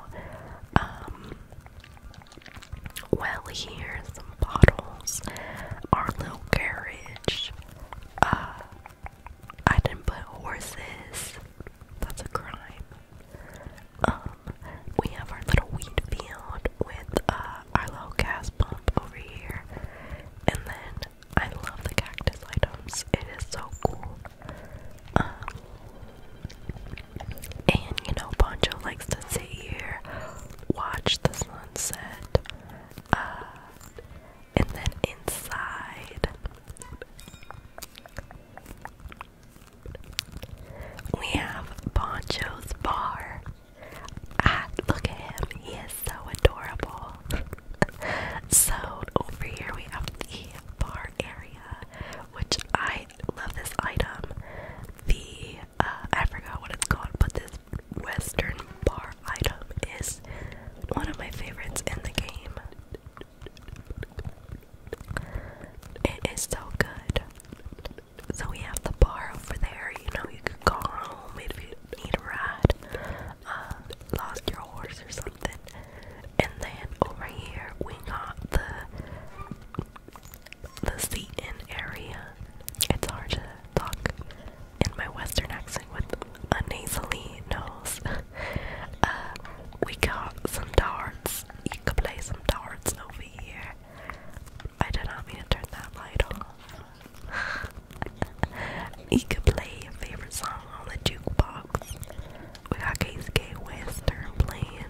um, well here, some bottles, our little carriage. Uh, I didn't put horses. That's a crime. Um, we have our little wheat field with uh, our little gas pump over here, and then I love the cactus items. It is so cool. Um, and you know, Poncho likes to sit here, watch the sunset, uh, and then inside we have Poncho's bar. Ah, look at him. He is so adorable. *laughs* so over here we have the bar area, which I love this item. The uh, I forgot what it's called, but this Western bar item is one of my favorites in the game. It is so good. So we have the bar over there. You know, you could go home if you need a ride. Uh, lost your horse or something. And then over here we got the the seat-in area. It's hard to talk in my Western accent with a nasally nose. *laughs* uh, we got some darts. You can play some darts over here. I do not mean to turn that light off you can play your favorite song on the jukebox. We got KCK Western playing.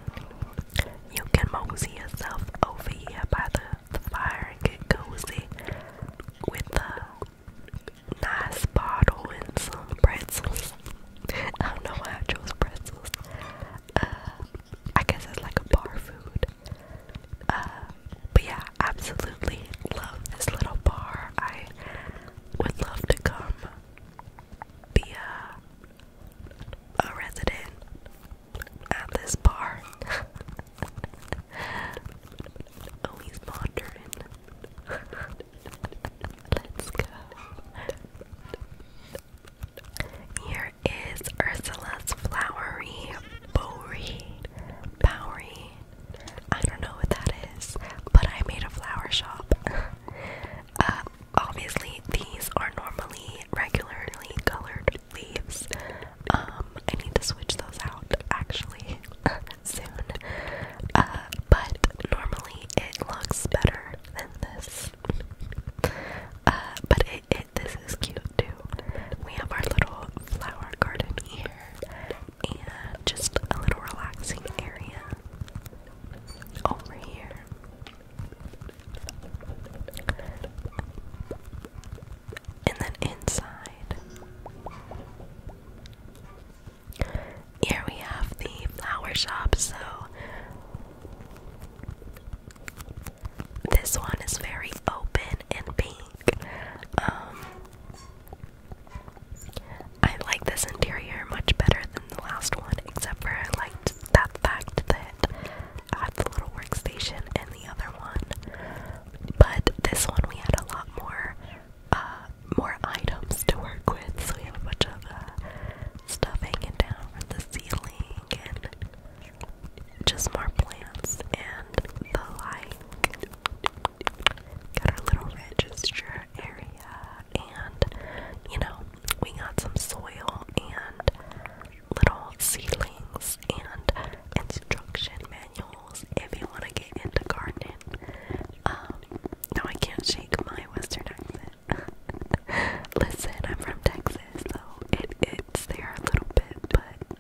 You can mosey yourself over here by the fire and get cozy with a nice bottle and some pretzels. I don't know why I chose pretzels. Uh, I guess it's like a bar food. Uh, but yeah, absolutely love this little bar. I would love to come be a, a resident at this bar. oh, he's *laughs* wandering. *laughs* Let's go. Here is Ursula's flowery, bowery, bowery I don't know what that is, but I made a flower shop. *laughs* Uh, obviously, these are normally regularly colored leaves. Um, I need to switch those out actually *laughs* soon. Uh, but normally it looks better than this. Uh, but it, it this is cute too. We have our little flower garden here, and just a little relaxing area over here. And then inside, here we have the flower shop. So, this one is very open and pink. Um, I like this interior much better than the last one, except for I liked that fact that I had the little workstation and the other one. But this one we had a lot more uh, more items to work with, so we have a bunch of uh, stuff hanging down from the ceiling and just more plants and the like. Got our little register area, and you know, we got some soil and little seedlings and instruction manuals if you want to get into gardening. Um, no, I can't shake my Western accent. *laughs* Listen, I'm from Texas, so it, it's there a little bit, but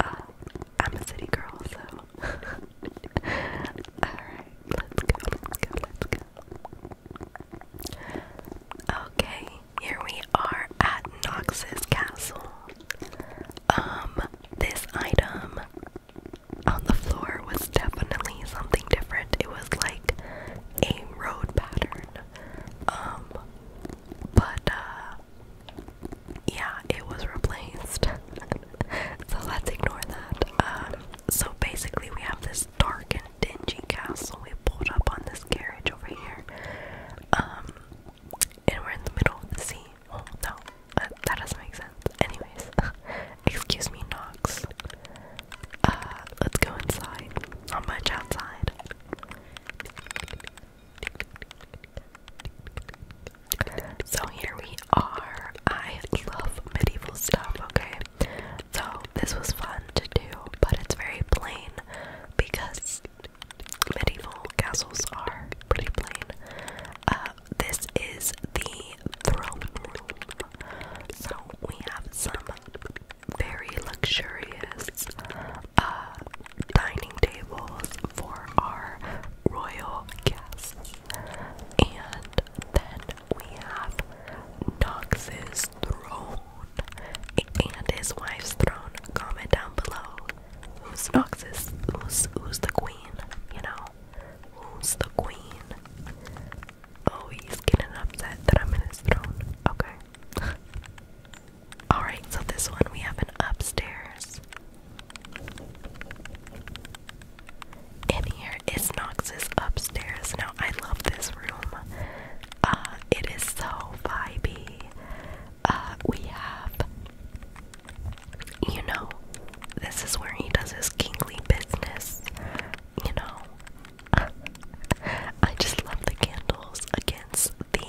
uh, I'm a city girl, so *laughs* alright, let's go, let's go, let's go. Okay, here we are at Nox's castle. Um, this item on the floor was definitely something different. It was like a road pattern. Um, but uh, yeah, it was replaced. *laughs* so let's ignore that. Um, so basically, we have this dark and dingy castle we pulled up on this carriage over here. Um, and we're in the middle of the sea. Oh, no, that doesn't make sense. Anyways, *laughs* excuse me, Knox. Uh, let's go inside. Not much outside. So here we are. I love medieval stuff, okay? So this was fun to do, but it's very plain because medieval castles are pretty plain. Uh, this is the throne room. So we have some very luxurious uh, dining tables for our royal guests. And then we have Nox's throne and his wife's throne. Comment down below who's Nox's, who's, who's the queen, you know? Who's the queen? Oh, he's getting upset that I'm in his throne. Okay. *laughs* Alright, so this one we have an upstairs. In here is Knox's upstairs. Now I love this room. Uh, it is so vibey. Uh, we have you know, this is where he does his kingly business. You know. *laughs* I just love the candles against the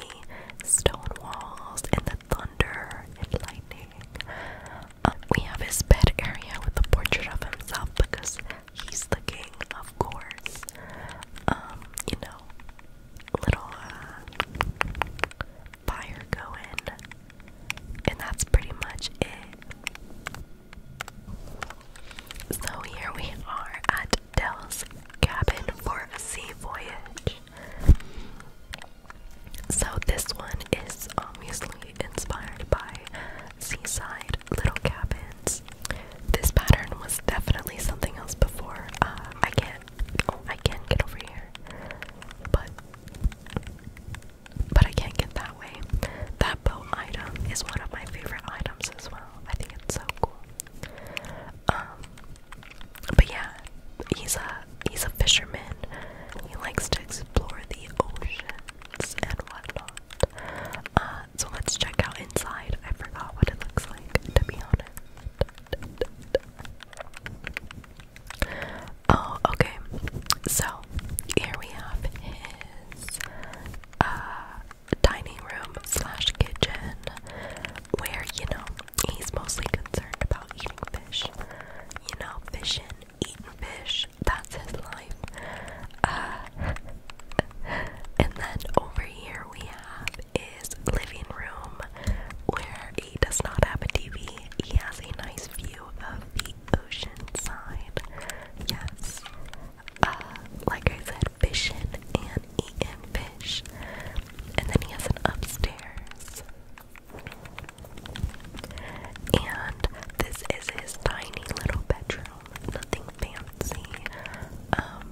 stone walls and the thunder and lightning. Um, we have his bed area with a portrait of himself because he's the king, of course. Um, you know, little uh, fire going, and that's pretty much it. So here we are at Dell's cabin for a sea voyage. So this one is obviously inspired by seaside little cabins. This pattern was definitely something else before. Um, I can't. Oh, I can not get over here, but but I can't get that way. That bow item is one of my favorite items as well. I think it's so cool. Um, but yeah, he's a he's a fisherman. He likes to explore the oceans and whatnot. Uh, so let's check out inside. I forgot what it looks like, to be honest. Oh, okay. So here we have his uh, dining room slash kitchen where you know he's mostly concerned about eating fish. You know, fishing, eating fish, that's his life. Uh, *laughs* and then over here we have is living room where he does not have a TV. He has a nice view of the ocean side. Yes. Uh, like I said, fishing and eating fish. And then he has an upstairs. And this is his tiny little bedroom. Nothing fancy. Um,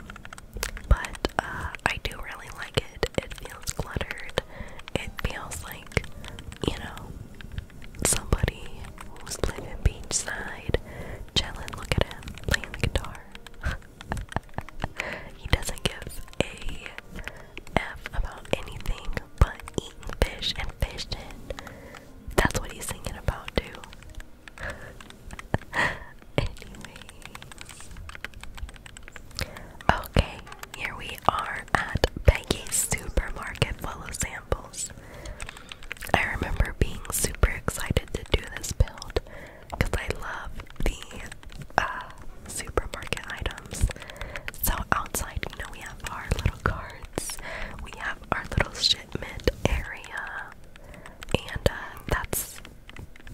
but uh, I do really like it. It feels cluttered. It feels like, you know, somebody who's living beachside, chilling, look at him, playing the guitar. *laughs* he doesn't give a F about anything but eating fish and fishing. That's what he's singing about, too. *laughs* Anyways. Okay, here we are at Peggy's supermarket full samples. I remember being super excited to do this build because I love the uh, supermarket items. So outside, you know, we have our little carts, we have our little shipment area, and uh, that's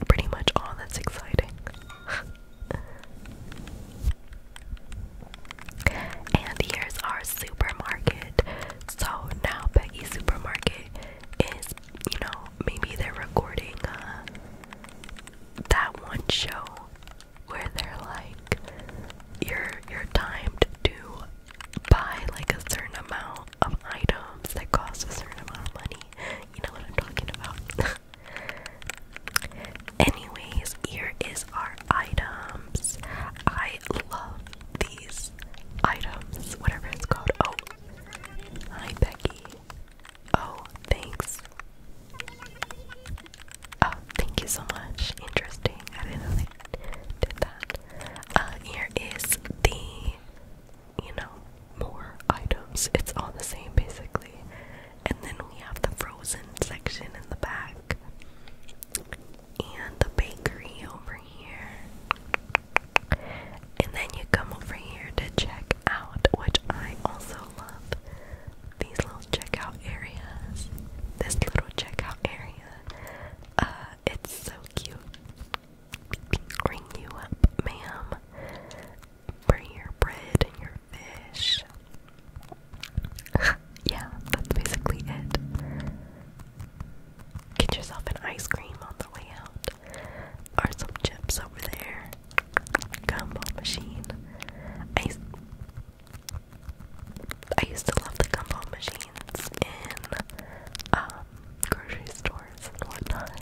pretty much all that's exciting. *laughs* and here's our supermarket. So now Peggy Supermarket is, you know, maybe they're recording uh, that one show where they're like you're you're timed to buy like a certain amount of items that cost a certain amount of money. You know what I'm talking about. *laughs* Anyways, here is our items. I love these items, whatever it's called. Oh, hi Becky. Oh, thanks. Oh, thank you so much. Interesting. I didn't know they did that. Uh, here is the, you know, more items. It's all the same basically. And then we have the frozen section in the back. And the bakery over here. And then you come over here to check out, which I also love. These little checkout areas. This little checkout area. Uh, it's so cute. Bring you up, ma'am. Bring your bread and your fish. *laughs* yeah, that's basically it. Get yourself an ice cream on the way out are some chips over there. Gumbo machine. I I used to love the gumbo machines in um, grocery stores and whatnot.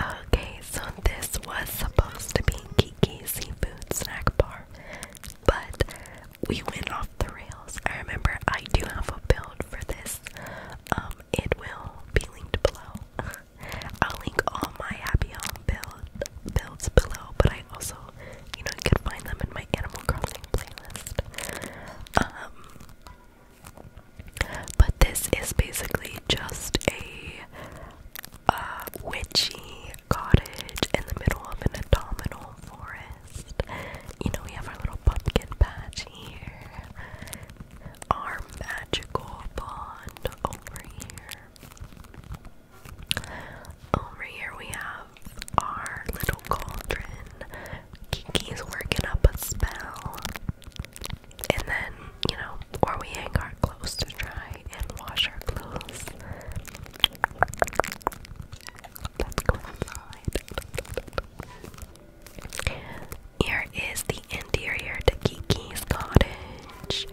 Okay, so this was supposed to be Kiki's Seafood Snack Bar, but we went off the rails. I remember I do have a build for this um, it will be linked below. *laughs* I'll link all my happy home builds below, but I also, you know, you can find them in my Animal Crossing playlist. Um, but this is basically just a uh, witchy cottage in the middle of an abdominal forest. You know, we have our little pumpkin patch here, our magical pond over here. Over here, we have our little cauldron. Kiki's working up a spell. And then, you know, or we hang our clothes to dry and wash our clothes. Let's go outside. Here is the interior to Kiki's cottage.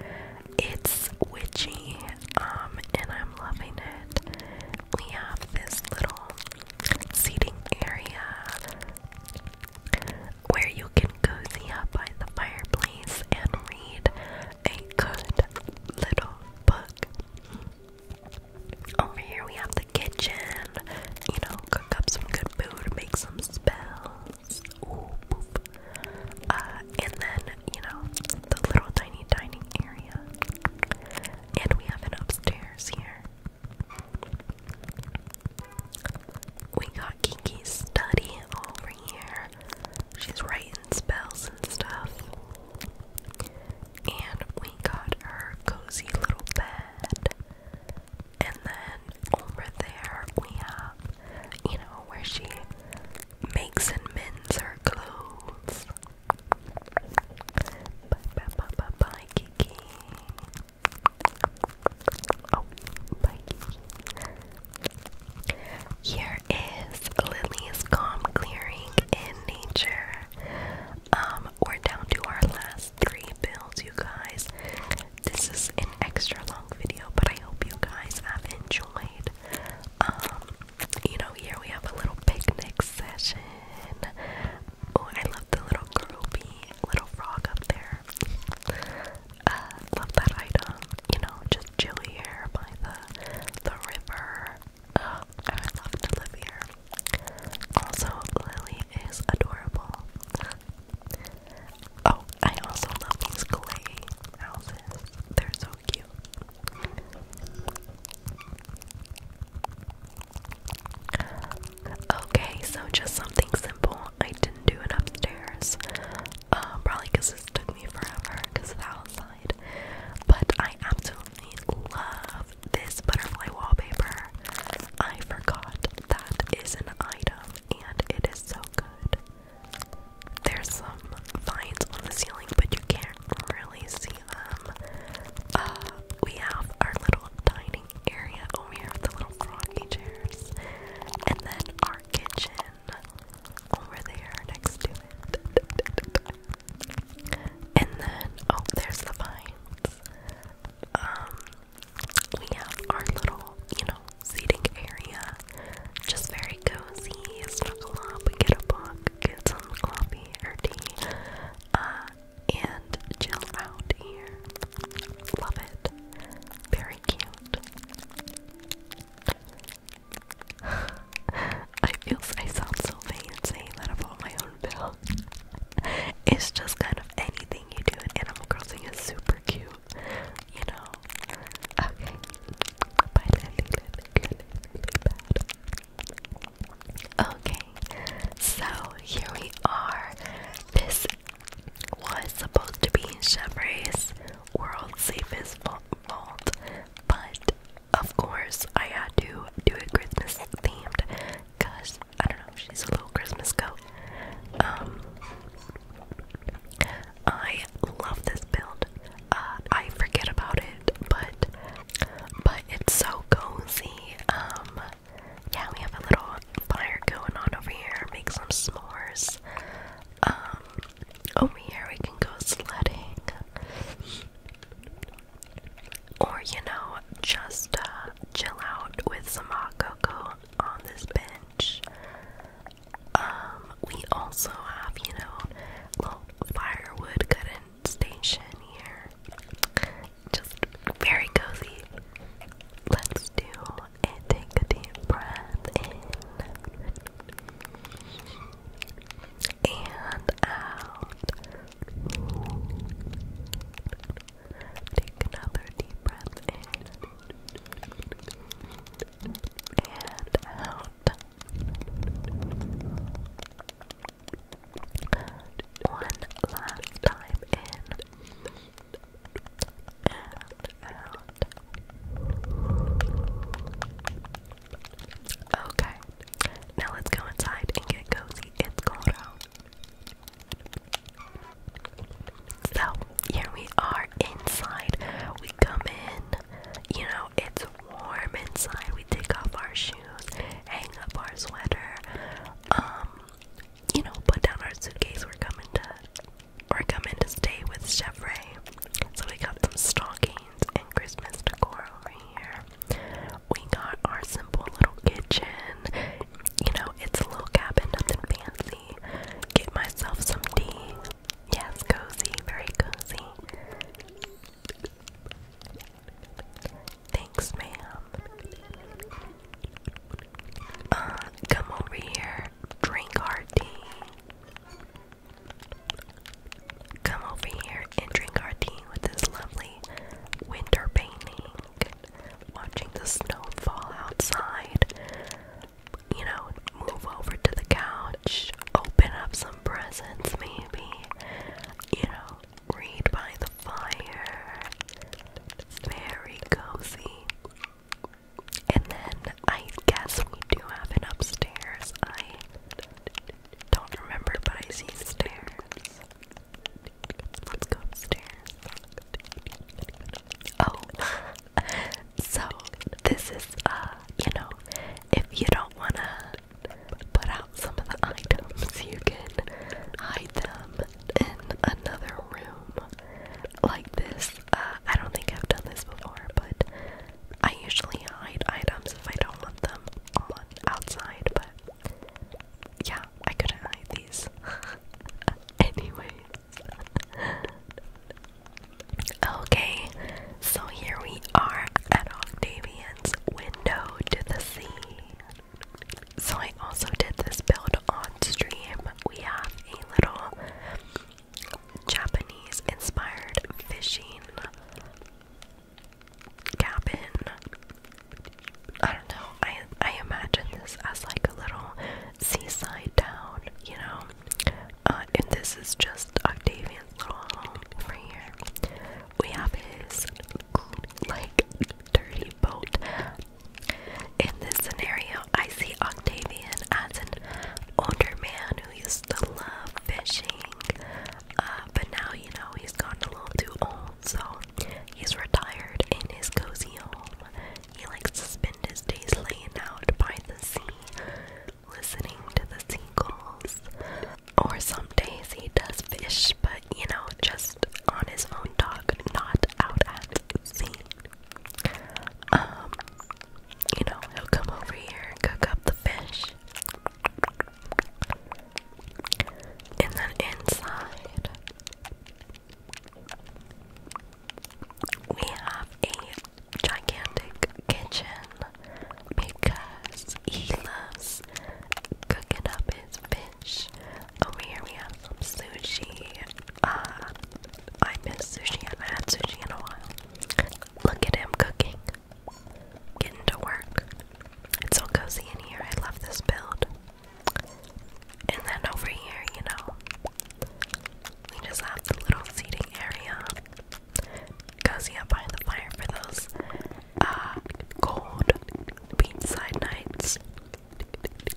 It's witchy, um, and I'm loving it. We have this little seating area where you can cozy up by the fireplace and read a good little book. Over here we have the kitchen. You know, cook up some good food, make some spells. Uh, and then, you know, the little tiny dining area. And we have an upstairs here. We got Kiki's study over here. She's writing spells and stuff and we got our cozy little bed. And then over there we have, you know, where she makes and mends her clothes. Bye bye bye bye bye Kiki. Oh, bye Kiki. Here is Lily's calm clearing in nature. Um, we're down to our last three bills, you guys. This is an extra long video, but I hope you guys have enjoyed. Um, you know, here we have a little picnic session. Oh, I love the little groupie, little frog up there. Uh, love that item. You know, just chill here by the the river. Oh, I would love to live here. Also, Lily is adorable. oh, I also love these clay houses. They're so cute. Okay, so just something simple. I didn't do it upstairs. Uh, probably because this took me forever because of the outside. But I absolutely love this butterfly wallpaper. I forgot that is an item and it is so good. There's some vines on the ceiling, but you can't really see them. Uh, we have our little dining area over here with the little froggy chairs, and then our kitchen over there next to it. *laughs* And then, oh, there's the vines. Um, we have our little, you know, seating area. Just very cozy, snuggle up, get a book, get some coffee or tea, uh, and chill out here. Love it. Very cute. *sighs* I feel I sound so vain saying that about my it's just kind of anything you do in Animal Crossing is super cute, you know. Okay, Okay, so here we are. This was supposed to be Chevray's world's safest vault, but of course I had to do a Christmas themed because I don't know, she's a little Christmas goat. Um, I love this build. Uh, I forget about it, but but it's so cozy. Um, yeah, we have a little fire going on over here. Make some s'mores. Um, over here we can go sledding. Or, you know, just uh, chill out with some hot cocoa on this bench. Um, we also have, you know, little firewood cutting station here. Just very cozy. Let's do and take a deep breath in and out. Take another deep breath in and out. One last time in and out. Okay, now let's go inside and get cozy. It's cold out. So here we are inside. We come in, you know, it's warm inside. We take off our shoes, hang up our sweater, um, you know, put down our suitcase. We're coming to we're coming to stay with Chef Ray. So we got some stockings and Christmas decor over here. We got our simple little kitchen. You know, it's a little cabin, nothing fancy. Get myself some tea. Yes, cozy, very cozy. Thanks, ma'am. Uh, come over here, drink our tea. Come over here, dinner and drink our tea with this lovely winter painting, watching the snow fall outside, you know, move over to the couch, open up some presents maybe, you know, read by the fire. Very cozy. And then I guess we do have an upstairs. I don't remember, but I see stairs. Let's go upstairs. Oh, so this is, uh, you know, if you don't want to put out some of the items, you can hide them in another room like this. Uh, I don't think I've done this before, but I usually hide items if I don't want them on outside, but yeah, I couldn't hide these. *laughs* Anyways. okay, so here we are at Octavian's window to the sea. So I also did this build on stream. We have a little Japanese inspired fishing cabin. I don't know. I I imagine this as like a little seaside town, you know. Uh, and this is just Octavian's little home over here. We have his like dirty boat. In this scenario, I see Octavian as an older man who used to love fishing, uh, but now you know he's gotten a little too old so he's retired in his cozy home. He likes to spend his days laying out by the sea, listening to the seagulls. Or some days he does fish, but you know, just on his own dock, not out at sea. Um, you know, he'll come over here, cook up the fish, and then inside, we have a gigantic kitchen because he loves cooking up his fish. Over oh, here, we have some sushi. Uh, I miss sushi, and I haven't had sushi in a while. Look at him cooking, getting to work. It's so cozy in here. I love this build. And then over here, you know, we just have the little seating area. Cozy up behind the fire for those uh, cold beachside nights.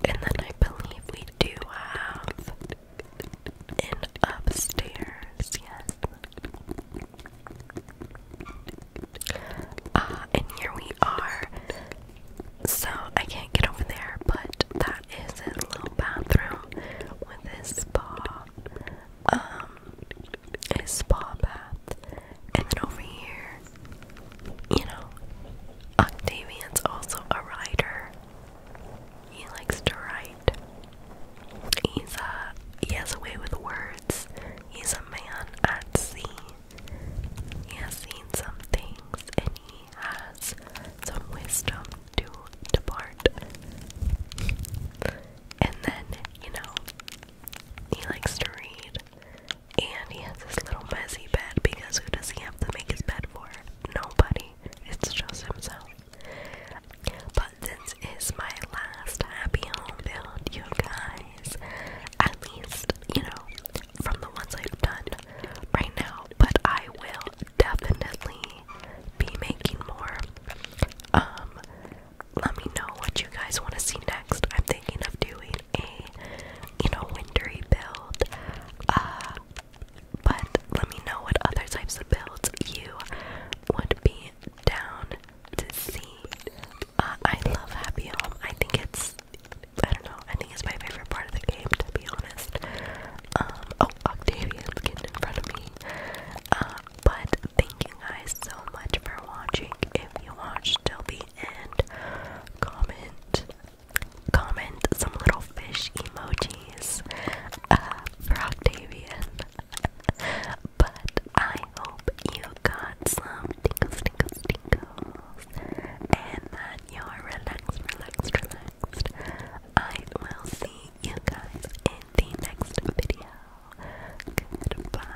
And then I believe we do have an upstairs, yes. Ah, and here we are. So I can't get over there, but that is his little bathroom with his spa, um, spa bath. And then over here, you know, Octavian's also a writer. He likes to write. He's a uh, he has a way with words. He's a man at sea. He has seen some things and he has some wisdom to depart. And then, you know, he likes to read. And he has this little messy bed because who does he have to make his bed for? Nobody. It's just himself. But this is my last happy home build, you guys at least, you know, from the ones I've done right now. But I will definitely be making more. Um, let me know what you guys want to see next. I'm thinking of doing a, you know, wintry build. Uh, but let me know what other types of builds you would be down to see. Uh, I love Happy Home. I think it's I don't know. I think it's my favorite part of the game, to be honest. Um, oh, Octavian's getting in front of me. Uh, but thank you guys so much for watching. If you watched till the end, comment, comment some little fish emojis uh, for Octavian. *laughs* but I hope you got some tingles, tingles, tingles. And that you're relaxed, relaxed, relaxed. I will see you guys in the next video. Goodbye.